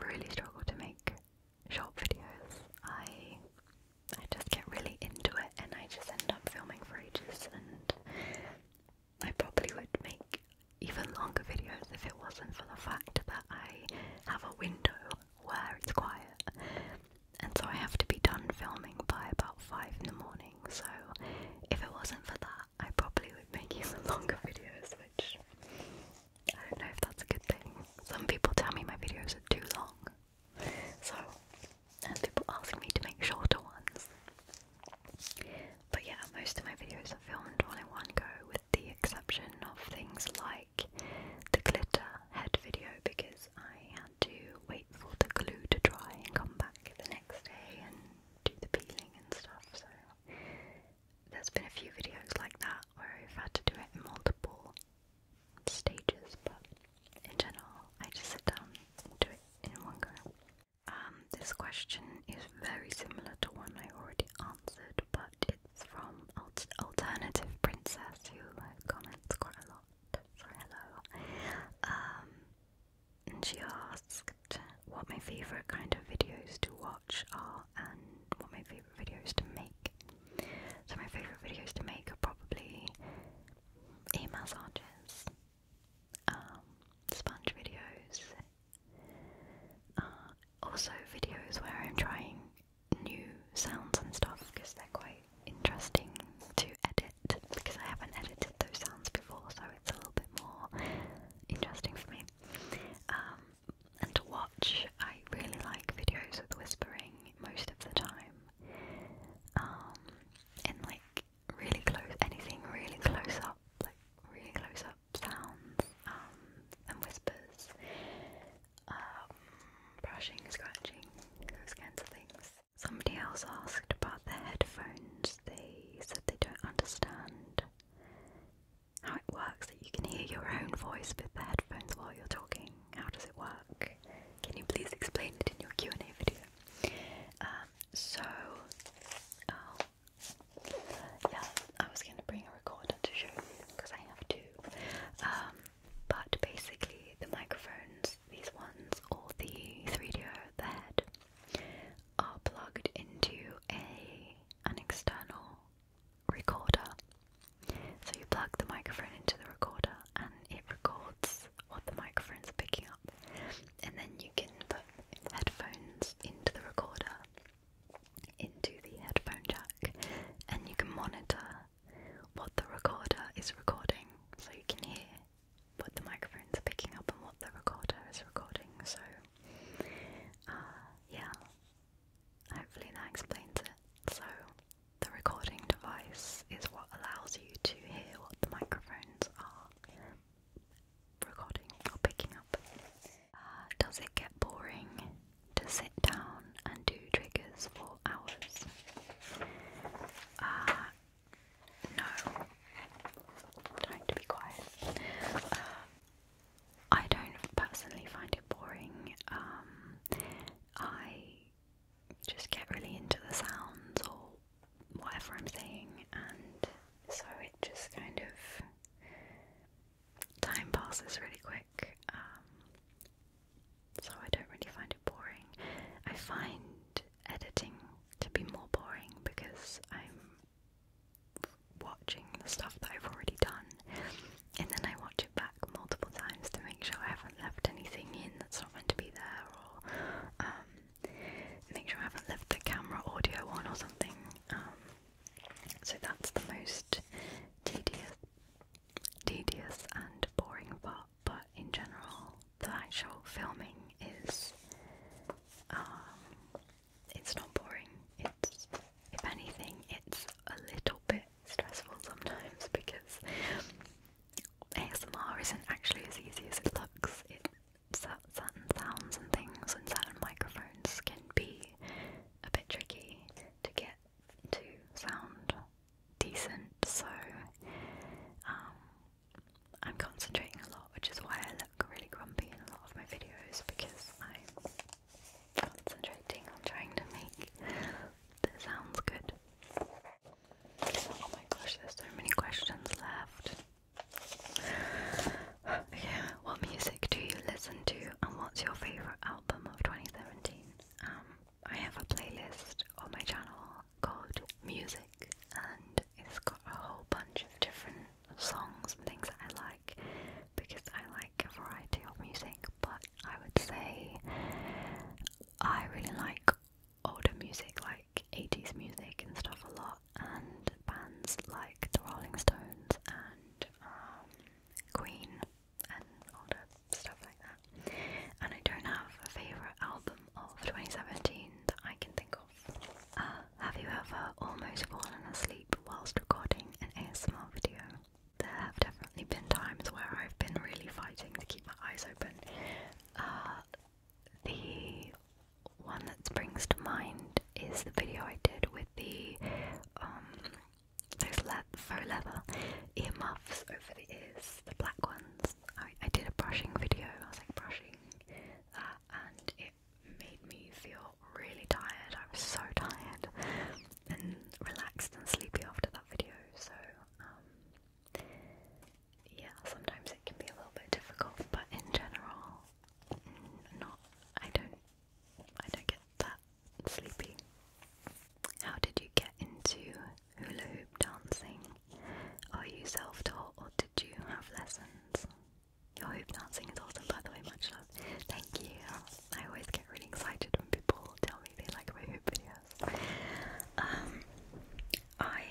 really struggle to make short videos. I I just get really into it and I just end up filming for ages and I probably would make even longer videos if it wasn't for the fact that I have a window where it's quiet and so I have to be done filming by about 5 in the morning so if it wasn't for that I probably would make even longer videos, which I don't know if that's a good thing. Some people tell me my videos are too long, so and people ask me to make shorter ones. But yeah, most of my videos are filmed all in one go, with the exception of things like the glitter head video because I had to wait for the glue to dry and come back the next day and do the peeling and stuff. So there's been a few videos like that where we have had to do it in multiple stages, but in general, I just sit down and do it in one go. Um, this question is very similar to one I already answered, but it's from Alternative Princess, who comments quite a lot. So hello. Um, and she asked what my favorite kind of videos to watch are and what my favourite videos to make. So my favourite videos to make are probably ear massages, um, sponge videos, uh, also videos where I'm trying new sounds and stuff because they're quite interesting to edit because I haven't edited those sounds before so it's a little bit more interesting for me. Um, and to watch. I really like videos with whispering most of the time. Um, and like really close, anything really close up, like really close up sounds um, and whispers, um, brushing, scratching, those kinds of things. Somebody else asked about the headphones. They said they don't understand how it works that you can hear your own voice with the headphones while you're talking. How does it work? Can you please explain it in your Q and A video? Um, so, oh, yeah, I was going to bring a recorder to show you because I have to. Um, but basically, the microphones, these ones, or the 3DO, the head, are plugged into a an external recorder. So you plug the microphone into the recorder and it records what the microphone's are picking up, and then you can put headphones into the recorder, into the headphone jack, and you can monitor what the recorder is recording so you can hear what the microphone's are picking up and what the recorder is recording. So, uh, yeah, Hopefully that explains it. So, the recording device is what allows you to hear what the microphones are recording or picking up. Uh, does it get boring to sit down and do triggers for hours? Uh, no. Time to be quiet. Um, I don't personally find it boring. Um, I just get really into the sounds or whatever I'm saying, and so it just kind of time passes really quick. Um, so I don't really find it boring. I find editing to be more boring because I'm watching the stuff that I've already done, and then I watch it back multiple times to make sure I haven't left anything in that's not meant to be there, or um, make sure I haven't left the camera audio on or something. Um, so that's the most tedious, tedious and boring part. But in general, the actual filming is um, it's not boring. It's if anything, it's a little bit stressful sometimes because ASMR isn't actually as easy as it looks. It certain sounds and things and certain microphones can be a bit tricky to get to sound decent. So um, I'm concentrating a lot, which is why I look really grumpy in a lot of my videos because I'm concentrating on trying to make the sounds good. Oh my gosh, there's so many questions left. Okay, what music do you listen to and what's your favourite album of 2017? Um, I have a playlist on my channel called Music and it's got a whole bunch of different songs and things I like because I like a variety of music, but I would say I really like older music, like 80s music and stuff a lot, and bands like the Rolling Stones and um, Queen and older stuff like that. And I don't have a favourite album of 2017 that I can think of. Uh, have you ever almost fallen asleep whilst recording an ASMR video. There have definitely been times where I've been really fighting to keep my eyes open. Uh, the one that springs to mind is the video I did with the um those le faux leather earmuffs over the ears, the black ones. I, I did a brushing video. I was like brushing uh, and it made me feel really tired. I was so tired and relaxed and sleepy after that video. So, um, yeah, sometimes it can be a little bit difficult, but in general, mm, not. I don't. I don't get that sleepy. How did you get into hula hoop dancing? Are you self-taught or did you have lessons? Your hoop dancing is awesome, by the way. Much love. Thank you. I always get really excited when people tell me they like my hoop videos. Um, I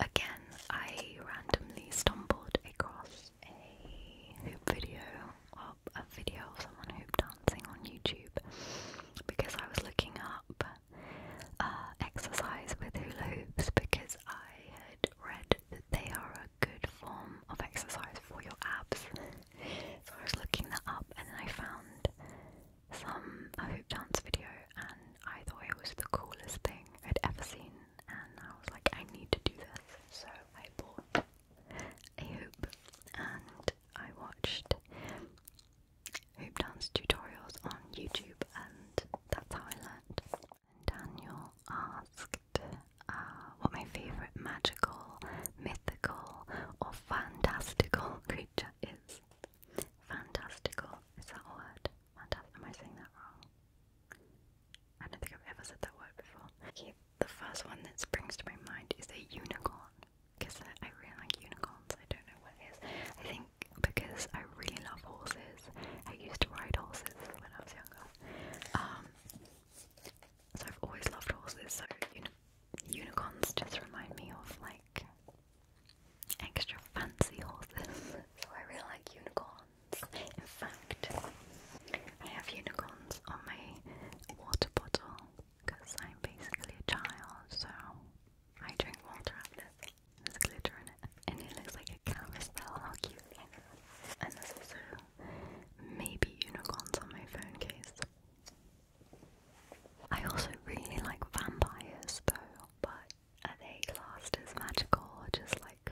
again, I randomly stumbled across a hoop video a video of someone hoop dancing on YouTube because I was looking up uh, exercise with hula hoops because I read that they are a good form of exercise for your abs. so I was looking that up and then I found some hoop dance video and I thought it was the coolest thing I'd ever seen and I was like I need to do this so I bought a hoop and I watched hoop dance tutorials on YouTube and that's how I learned. Daniel asked uh, what my favourite magical, mythical, or fantastical creature is. Fantastical, is that a word? Am I saying that wrong? I don't think I've ever said that word before. the first one that springs to my mind is a unicorn. Because I, really like unicorns, I don't know what it is. I think because I really love horses. I used to ride horses when I was younger. Um, so I've always loved horses, so unicorns just remind me of like extra fancy horses. So I really like unicorns. In fact, I have unicorns on my water bottle because I'm basically a child, so I drink water out of this. glitter in it, and it looks like a carousel. How cute! And there's also maybe unicorns on my phone case. I also really like vampires though, but are they classed as magical or just like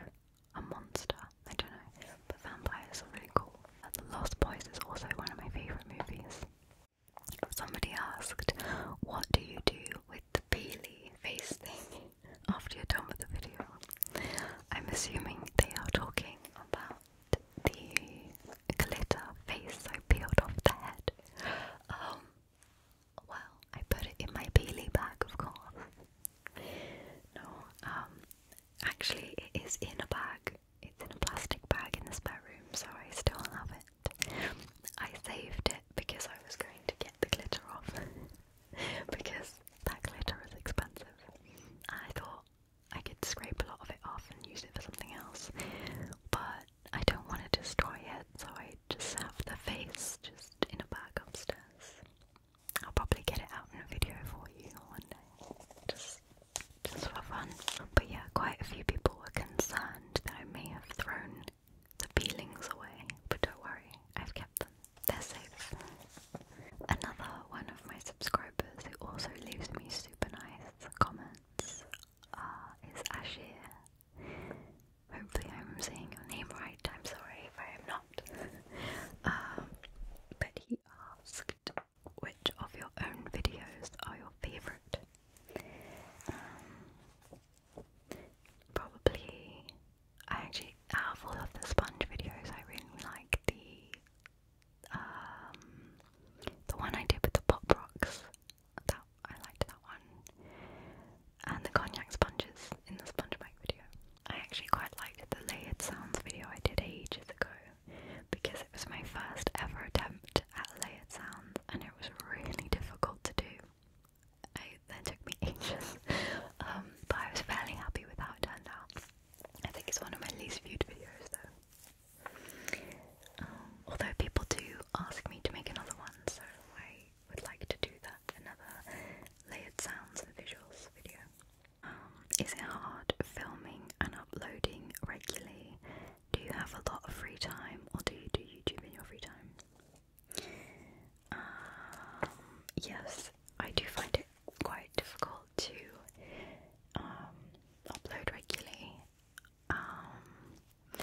a monster? I don't know, but vampires are really cool. The Lost Boys is also one of my favourite movies. Somebody asked, what do you do with the peely face thing after you're done with the video? I'm assuming they are talking about the glitter face I peeled off the head. Um, well, I put it in my Peely bag, of course. No, um, actually, it is in a bag. It's in a plastic bag in the spare room, so I still have it. I saved it because I was going to get the glitter off. because that glitter is expensive. I thought I could scrape a lot of it off and use it for something else. But I don't want to destroy it, so I just have the face just in a bag upstairs. I'll probably get it out in a video for you one day. Just just for fun. But yeah, quite a few people were concerned that I may have thrown the feelings away, but don't worry, I've kept them they're Another one of my subscribers who also leaves me super nice comments uh, is Ashir. Hopefully, I'm saying your name right. I'm sorry if I am not. Um, but he asked, which of your own videos are your favourite? Um, probably, I actually, have all of the sponge videos, I really like the um, the one I did with the pop rocks. That I liked that one. And the cognac sponges in the SpongeBob video. I actually quite liked the layered sounds video I did ages ago because it was my first ever attempt at layered sounds and it was really difficult to do. I, that took me ages, um, but I was fairly happy with how it turned out. I think it's one of my least viewed videos though. Um, although people do ask me to make another one, so I would like to do that another layered sounds and visuals video. Um, is it hard filming and uploading regularly? Do you have a lot of free time, or do you do YouTube in your free time? Um, yes, I do find it quite difficult to um, upload regularly. Um,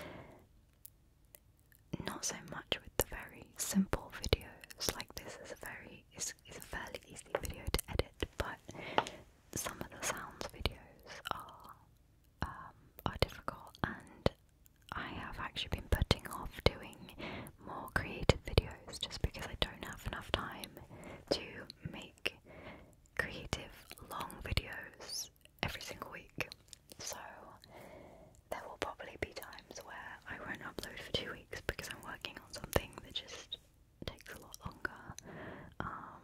not so much with the very simple videos like this is a very it's, it's a fairly easy video to edit, but some of the sounds videos are um, are difficult, and I have actually been putting off doing more creative videos just because I don't have enough time to make creative long videos every single week. So there will probably be times where I won't upload for two weeks because I'm working on something that just takes a lot longer. Um,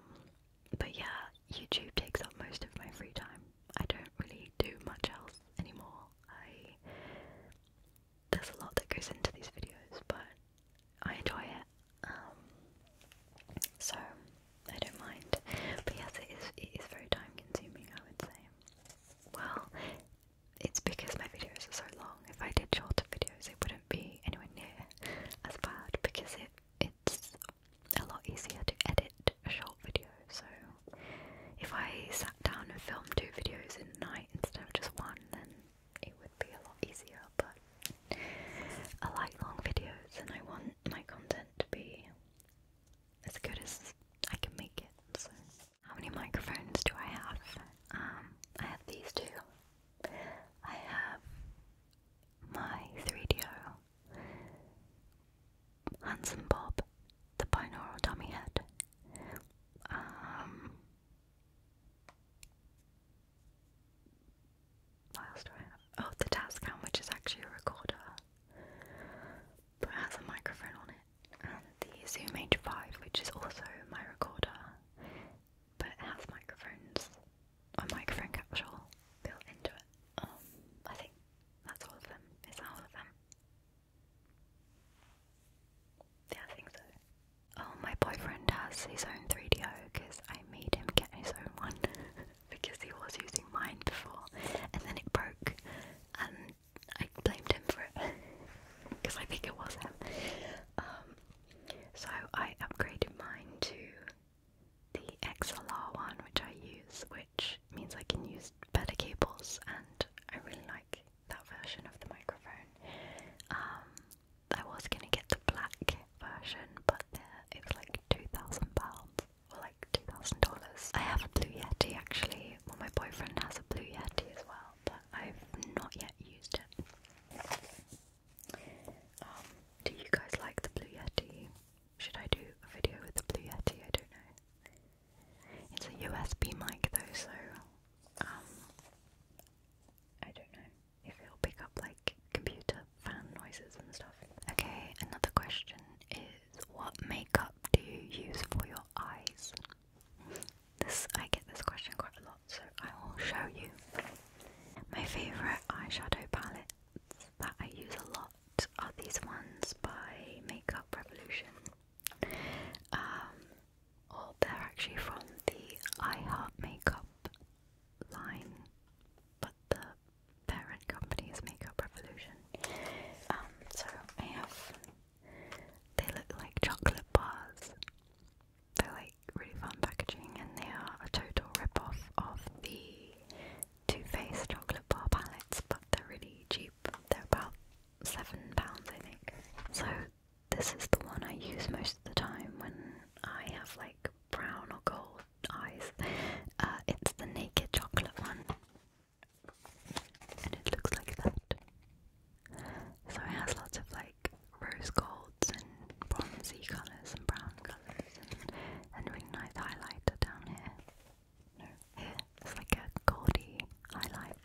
but yeah, YouTube takes up most of my free time. I don't really do much else anymore. I there's a lot that goes into these videos, but I enjoy it, um, so I don't mind. But yes, it is, it is very time consuming, I would say. Well, it's because my videos are so long. If I did shorter videos, it wouldn't be anywhere near as bad because it it's a lot easier to edit a short video. So if I sat down and filmed two videos in a night instead of just one, then it would be a lot easier, but I like long videos and I want my content to be as good as I can make it. So, how many microphones do I have? Um, I have these two. I have my 3DO, Handsome Bob, the binaural dummy head, um, what else do I have? Oh, the Tascam, which is actually a recorder, but has a microphone on it, and the Zoom H5, which is also my recorder, but it has microphones, a microphone capsule built into it. Um, I think that's all of them. Is that all of them? Yeah, I think so. Oh, my boyfriend has his own 3DO because I made him get his own one because he was using mine before and then it broke and I blamed him for it because I think it was him. Um, so I upgraded mine to the XLR one which I use, which means I can use better cables and I really like that version of the microphone. Um, I was gonna get the black version, but uh, it was like two thousand pounds or like two thousand dollars. I have a blue yeti actually. Well, my boyfriend has a blue yeti as well, but I've not yet used it. Um, do you guys like the blue yeti? Should I do a video with the blue yeti? I don't know. It's a USB mic though, so um, I don't know if it'll pick up like computer fan noises and stuff. Okay, another question is what makeup do you use for your eyes? This I get this question quite a lot, so I will show you my favorite eyeshadow palettes that I use a lot are these ones by Makeup Revolution. Um, or oh, they're actually from the I Makeup line, but the parent company is Makeup Revolution. Um, so I have they look like chocolate bars. They're like really fun packaging, and they are a total rip-off of the Too Faced chocolate bar palettes, but they're really cheap. They're about seven pounds, I think. So this is the one I use most of the time when I have like brown or gold eyes. Uh, it's the Naked Chocolate one. And it looks like that. So it has lots of like rose golds and bronzy colours and brown colours and, and really nice highlighter down here. No, here. It's like a goldy highlight.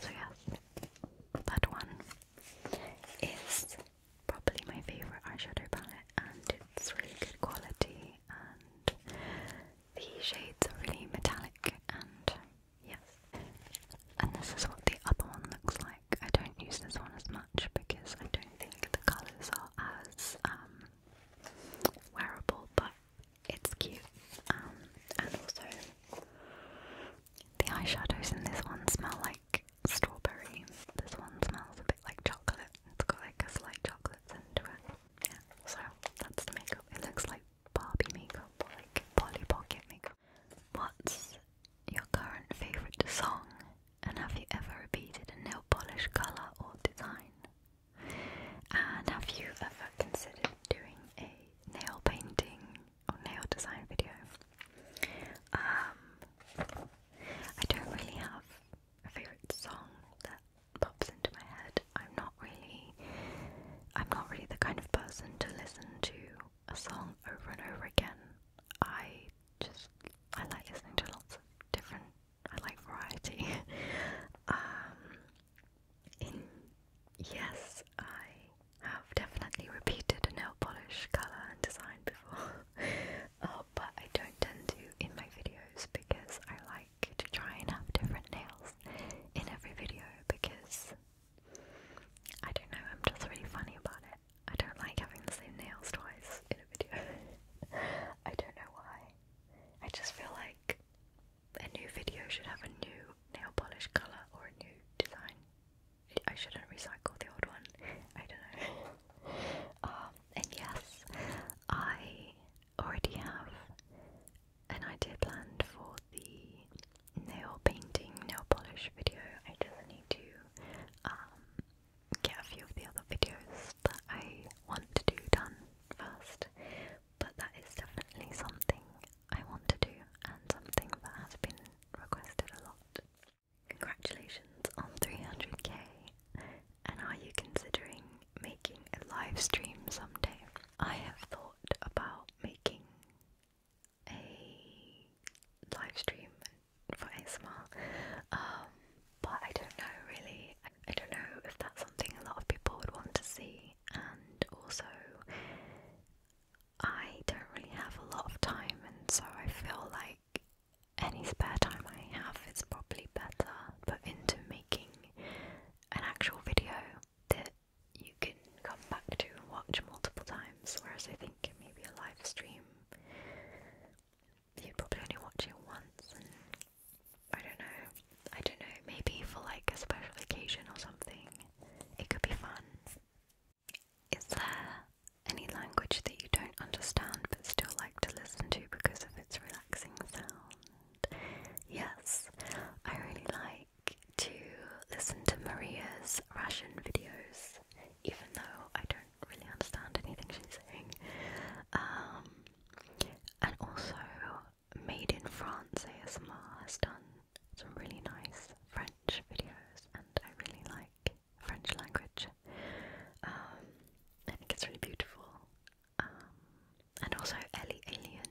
So yes, that one is probably my favourite eyeshadow palette and it's really good quality and the shades are really metallic and yes. And this is what the other one looks like. I don't use this one as much because I don't think the colours are as um, wearable but it's cute um, and also the eyeshadows in this one smell like strawberry. This one smells a bit like chocolate. It's got like a slight chocolate scent to it. Yeah, so that's the makeup. It looks like Barbie makeup or like Polly Pocket makeup. What's your current favourite song? And have you ever repeated a nail polish colour or design? And have you ever considered doing a nail painting or nail design video. Um, I don't really have a favorite song that pops into my head. I'm not really, I'm not really the kind of person to listen to a song over and over again. I just, I like listening to lots of different. I like variety. um, yes, I have definitely repeated a nail polish colour and design before, uh, but I don't tend to in my videos because I like to try and have different nails in every video because I don't know, I'm just really funny about it. I don't like having the same nails twice in a video. I don't know why. I just feel like a new video should have a new nail polish colour or a new design. I shouldn't recycle the old one. I don't know. Um, and yes, I already have an idea planned for the nail painting, nail polish video. I just need to um, get a few of the other videos that I want to do done first. But that is definitely something I want to do and something that has been requested a lot. Congratulations on 300k, and are you considering making a live stream someday? I have thought about making a live stream for ASMR, um, but I don't know really. I don't know if that's something a lot of people would want to see, and also I don't really have a lot of time, and so I feel like any spare time I have is probably better put into making an actual video that you can come back to and watch multiple times, whereas I think maybe a live stream you probably only watch it once I don't know. I don't know, maybe for like a special occasion or something. It could be fun. Is there any language that you don't understand but still like to listen to because of its relaxing sound? Yes, I really like to listen to Maria's Russian videos, even though I don't really understand anything she's saying. Um, and also, Made in France ASMR has done some really nice French videos, and I really like French language. Um, I think it's really beautiful. Um, and also Ellie Alien,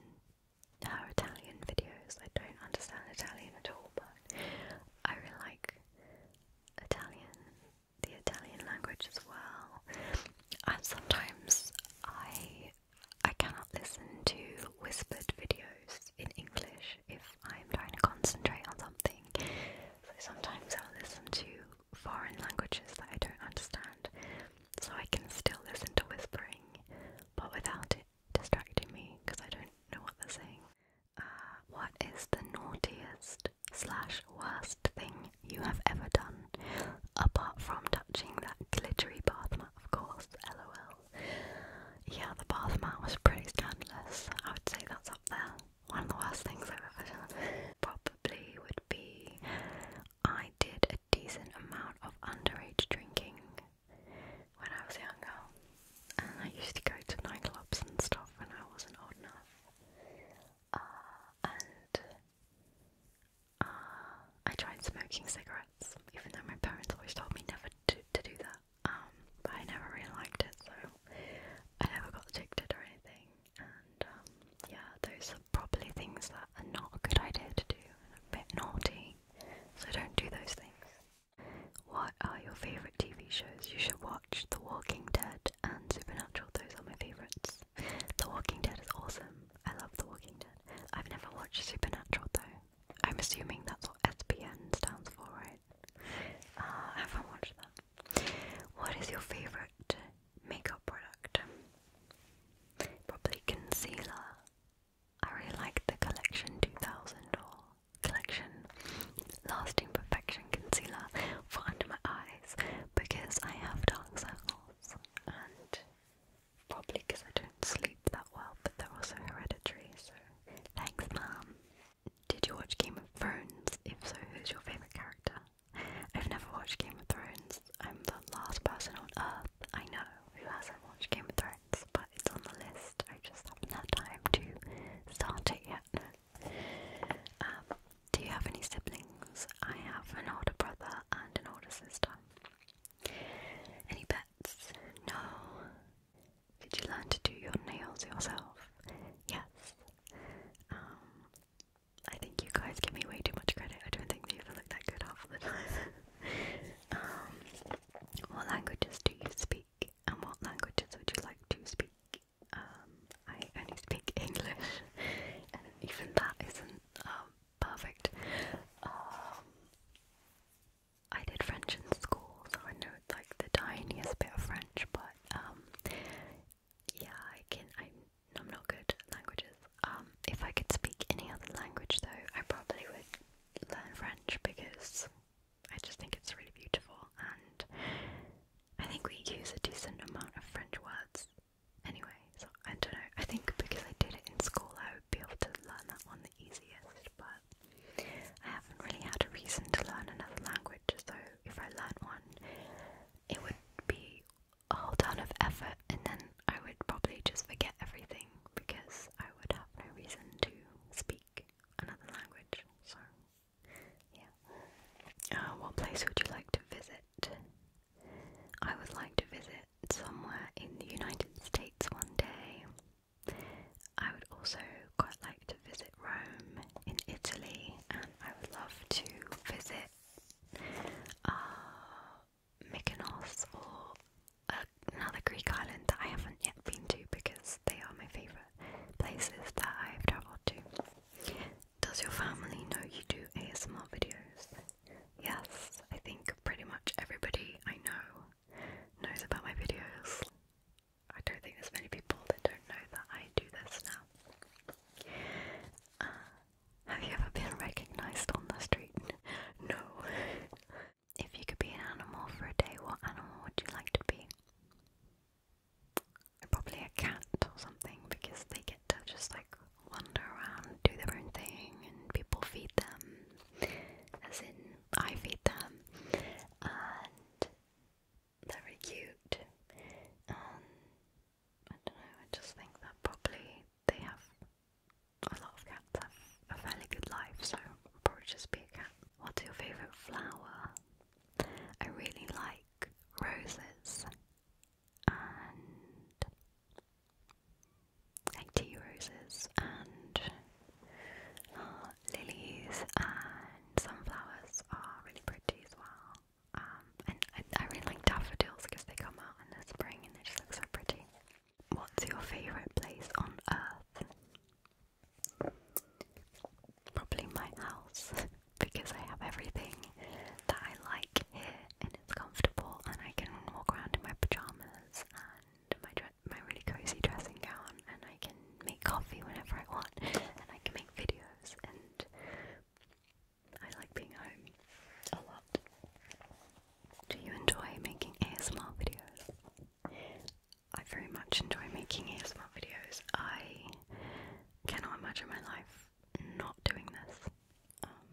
her Italian videos. I don't understand Italian at all, but I really like Italian, the Italian language as well. And sometimes I I cannot listen to whispered videos in English if I'm trying to concentrate on something. So sometimes i listen to foreign languages that I don't understand. So I can still listen to whispering, but without it distracting me because I don't know what they're saying. Uh, what is the naughtiest slash worst thing you have ever done? Apart from touching that glittery bath of course, lol. Yeah, the bath mat was pretty scandalous. I would say that's up there. One of the worst things I've ever done. Probably would be I did a decent amount of underage drinking when I was younger. And I used to go to nightclubs and stuff when I wasn't old enough. Uh, and uh, I tried smoking cigarettes, even though my parents always told me never to do that. Um, but I never really liked it, so I never got addicted or anything. And um, yeah, those are probably things that are not a good idea to do, and a bit naughty, so don't do those things. What are your favourite TV shows? You should watch The Walking Dead and Supernatural, those are my favourites. The Walking Dead is awesome, I love The Walking Dead. I've never watched Supernatural though, I'm assuming that's what SPN stands for, right? Ah, haven't watched that. What is your favourite makeup product? Probably concealer. I really like the Collection 2000 or Collection Lasting Perfection Concealer for under my eyes because I have dark circles and Probably because I don't sleep that well, but they're also hereditary, so thanks, Mum. Did you watch Game of Thrones? If so, who's your favourite character? I've never watched Game of Thrones. I'm the last person on earth I know who hasn't watched Game of Thrones, but it's on the list. I just haven't had time to start it yet. Um, do you have any siblings? I have an older brother and an older sister. Any pets? No. Did you learn to do your nails yourself? Yes. Um, I think you guys give me way too much credit. I don't think they ever look that good half the time. Um, what languages do you speak, and what languages would you like to speak? Um, I only speak English, and even that isn't um, perfect. I did French in school, so I know like the tiniest bit of French, but um, yeah, I can. I'm not good at languages. Um, if I could speak any other language, though, I probably would learn French because I just think it's really beautiful, and I think we use a decent amount of French words. Anyway, so I don't know. I think because I did it in school, I would be able to learn that one the easiest, but I haven't really had a reason to learn another language, so if I learned one, it would be a whole ton of effort, and then I would probably just forget everything because I would have no reason to speak another language. So, yeah. Uh, what place would you like to visit? I would like to visit somewhere in the United States one day. I would also quite like to visit Rome in Italy, and I would love to visit uh, Mykonos or uh, another Greek island that I haven't yet been to because they are my favourite places that I've travelled to. Does your family know you do ASMR videos? Yes, I think pretty much everybody I know knows about my videos. I don't think there's many people that don't know that I do this now. Uh, have you ever been recognized on the street? no. if you could be an animal for a day, what animal would you like to be? Probably a cat or something because they get to just like wander around, do their own thing, and people feed them as in I feed them, and they're really cute. Um, I don't know, I just think that probably they have a lot of cats have a fairly good life, so I'll probably just be a cat. What's your favourite flower? I really like roses like tea roses and uh, lilies and sunflowers are really pretty as well. Um, and I, I really like daffodils because they come out in the spring and they just look so pretty. What's your favourite place on earth? Probably my house because I have everything that I like here and it's comfortable and I can walk around in my pyjamas and my really cozy dressing gown, and I can make coffee whenever I want, and I can make videos, and I like being home a lot. Do you enjoy making ASMR videos? I very much enjoy making ASMR videos. I cannot imagine my life not doing this. Um,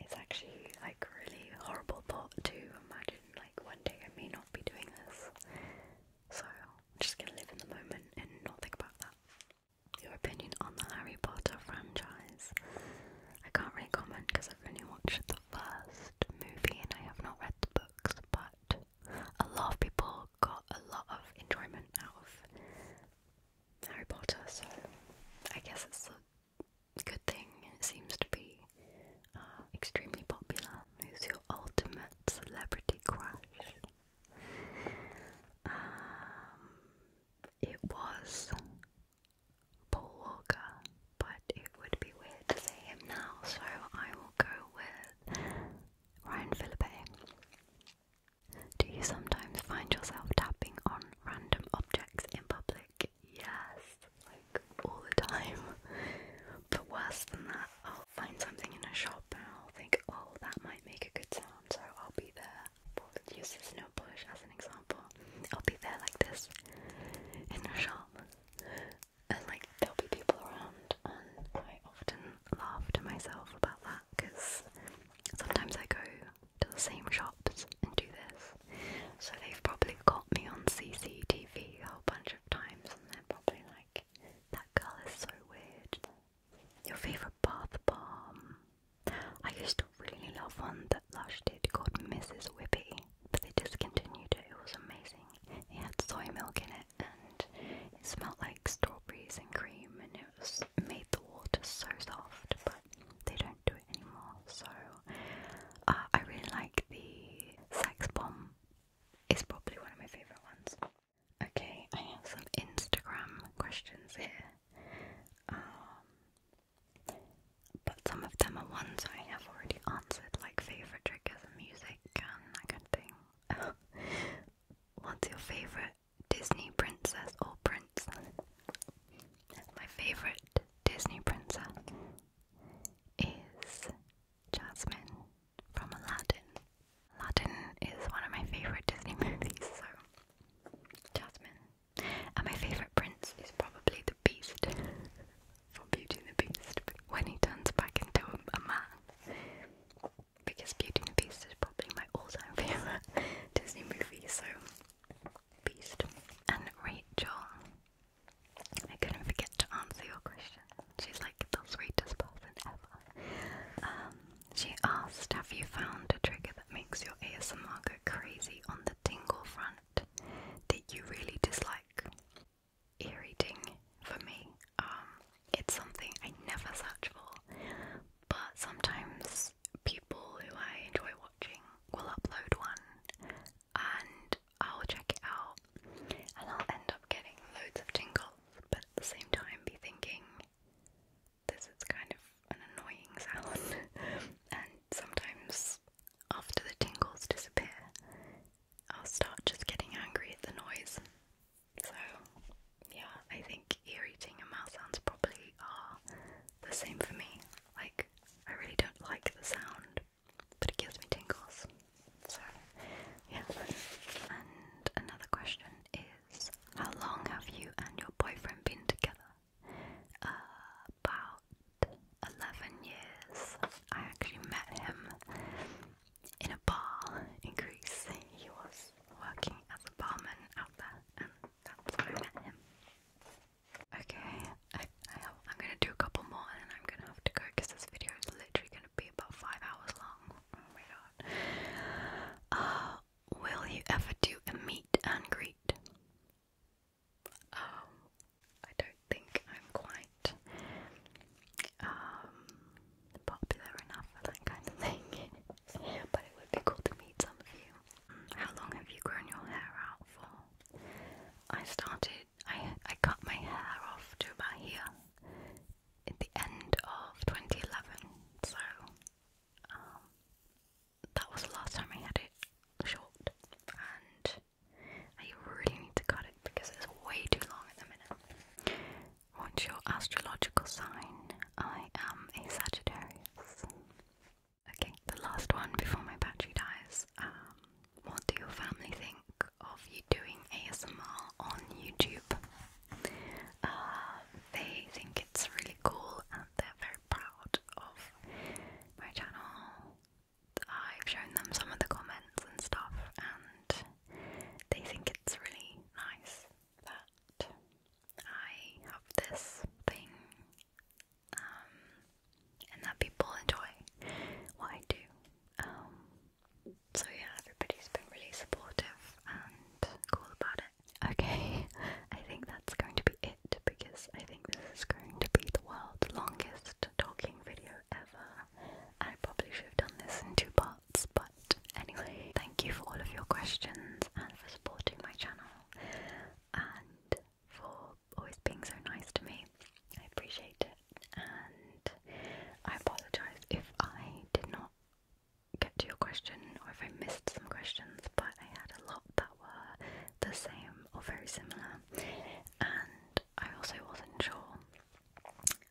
it's actually like a really horrible thought to imagine like one day I may not be doing this. So I'm just gonna live in the moment and not think about that. Your opinion on the Harry Potter franchise? I can't really comment because I've only watched the first movie and I have not read the books, but a lot of people got a lot of enjoyment out of Harry Potter, so I guess it's good thing seems to be uh, extremely popular. Who's your ultimate celebrity crush? Um, it was Paul Walker, but it would be weird to say him now, so I will go with Ryan Philippe. Do you sometimes find yourself tapping on random objects in public? yes, like all the time. But worse than that, I'll find something in a shop and I'll think, oh, that might make a good sound, so I'll be there. But use the snow polish as an example. I'll be there like this in a shop, and like there'll be people around, and I often laugh to myself about that because sometimes I go to the same shops and do this so they've probably caught me on CCTV a whole bunch of times, and they're probably like, that girl is so weird. Your favourite bath bomb? I used to really love one that Lush did called Mrs. Whippy, but they discontinued it. It was amazing. It had soy milk in it, and it smelled like strawberries and cream, and it was made the water so soft, but they don't do it. So uh, I really like the Sex Bomb. It's probably one of my favourite ones. Okay, I have some Instagram questions here. Um, but some of them are ones I have already answered, like favourite triggers and music and that kind of thing. What's your favourite Disney princess or prince? My favourite Disney princess is Jasmine from Aladdin. Aladdin is one of my favourite Disney movies, so Jasmine. And my favourite prince is probably the Beast from Beauty and the Beast when he turns back into a, a man. Because Beauty and the Beast is probably my all-time favourite Disney movie, so Beast. And Rachel I couldn't forget to answer your question. She's like the sweetest person ever. Um, she asked, Have you found a trigger that makes your ASMR go crazy on the tingle front that you really dislike? Eerie ding for me. Um, it's something I never search for, but sometimes people who I enjoy watching will upload one and I'll check it out and I'll end up getting loads of tingles, but at the same time be thinking this is kind of an annoying sound and sometimes after the tingles disappear I'll start just getting angry at the noise. So yeah, I think ear eating mouth sounds probably are the same for me. Like I really don't like the sound but it gives me tingles. So, yeah. And another question is How long have you and your boyfriend been together? about 11 years. I actually met him in a bar in Greece. He was working as a barman out there, and that's where I met him. Okay, I, I am gonna do a couple more and then I'm gonna have to go because this video is literally gonna be about five hours long. Oh my god. Uh, will you ever do a meet and greet? Um, I don't think I'm quite um popular enough for that kind of thing, but it would be cool to meet some of you. Mm, how long have you grown your hair out for? I started I I cut my hair off to about here at the end of 2011. So um, that was the last time I had it short, and I really need to cut it because it's way too long at the minute. What's your astrological sign? I am a Sagittarius. Okay, the last one before my battery dies. Um, what do your family think of you doing ASMR on YouTube? Uh, they think it's really cool and they're very proud of my channel. I've shown them some of the comments and stuff, and they think it's really nice that I have this thing um, and that people enjoy what I do. Um, so yeah, everybody's been really supportive and cool about it. Okay, I think that's going to be it because I think this is going to be the world's longest talking video ever. I probably should have done this in two parts, but anyway, thank you for all of your questions and for supporting my channel. And for always being so nice to me. I appreciate it, and I apologize if I did not get to your question or if I missed some questions, but I had a lot that were the same or very similar, and I also wasn't sure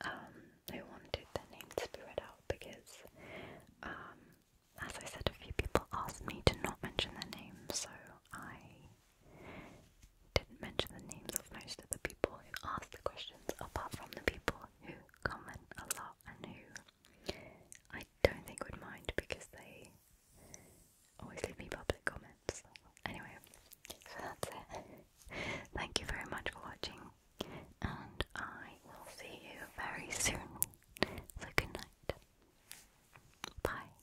um, who wanted their names to be read out because, um, as I said, a few people asked me to not mention their names, so I didn't mention the names of most of the people who asked the questions, apart from the people who comment a lot and who I don't think would mind because they always leave me public comments. Anyway, so that's it. Thank you very much for watching, and I will see you very soon. So, good night. Bye.